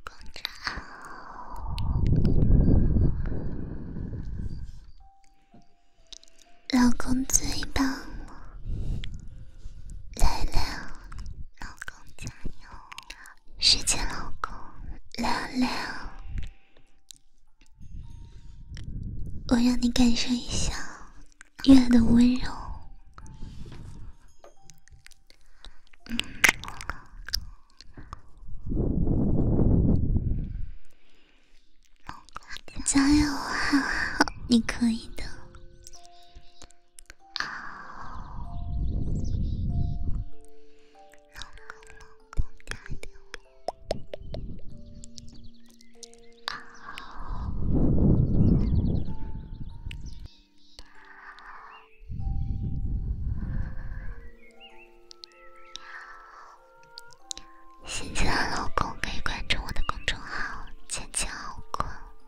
公呀，老公最棒了，来了。老公加油！世界老公，来啊我让你感受一下月的温柔。老加油啊！你可以的。新进的老公可以关注我的公众号“浅浅好困”。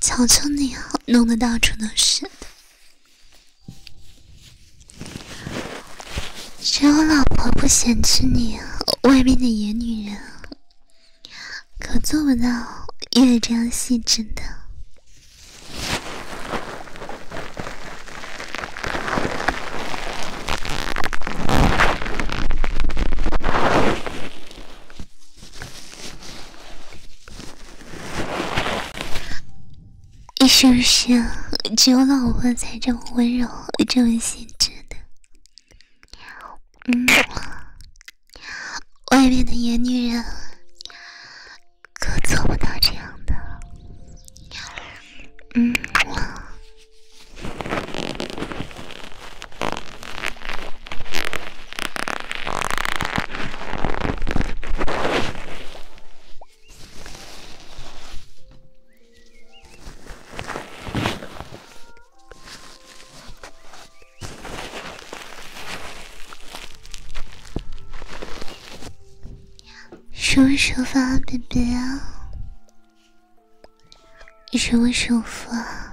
求求你了，弄得到处都是。只有老婆不嫌弃你，外面的野女人可做不到，也这样细致的。是不是只有老婆才这么温柔，这么细致的？嗯，外面的野女人可做不到这样的。嗯。什么时候发？啊，baby？啊！什么时候发？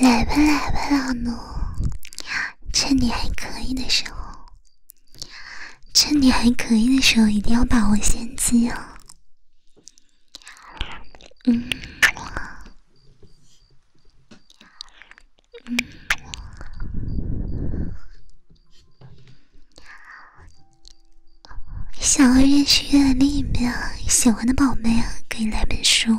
来吧来吧，老奴，趁你还可以的时候，趁你还可以的时候，一定要把握先机哦。嗯，嗯，识月亮吸越厉害，喜欢的宝贝啊，可以来本书。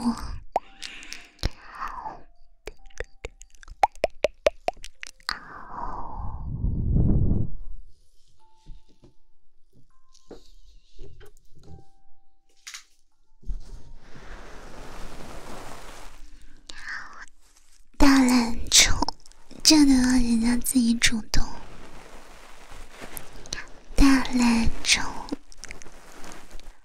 大懒虫，这都要人家自己主动。大懒虫。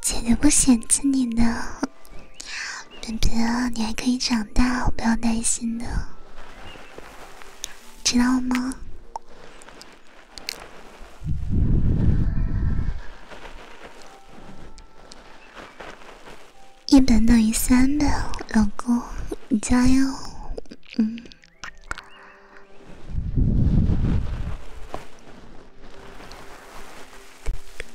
姐姐不嫌弃你的，别别，你还可以长大，不要担心的，知道吗？一本等于三本，老公，加油！嗯。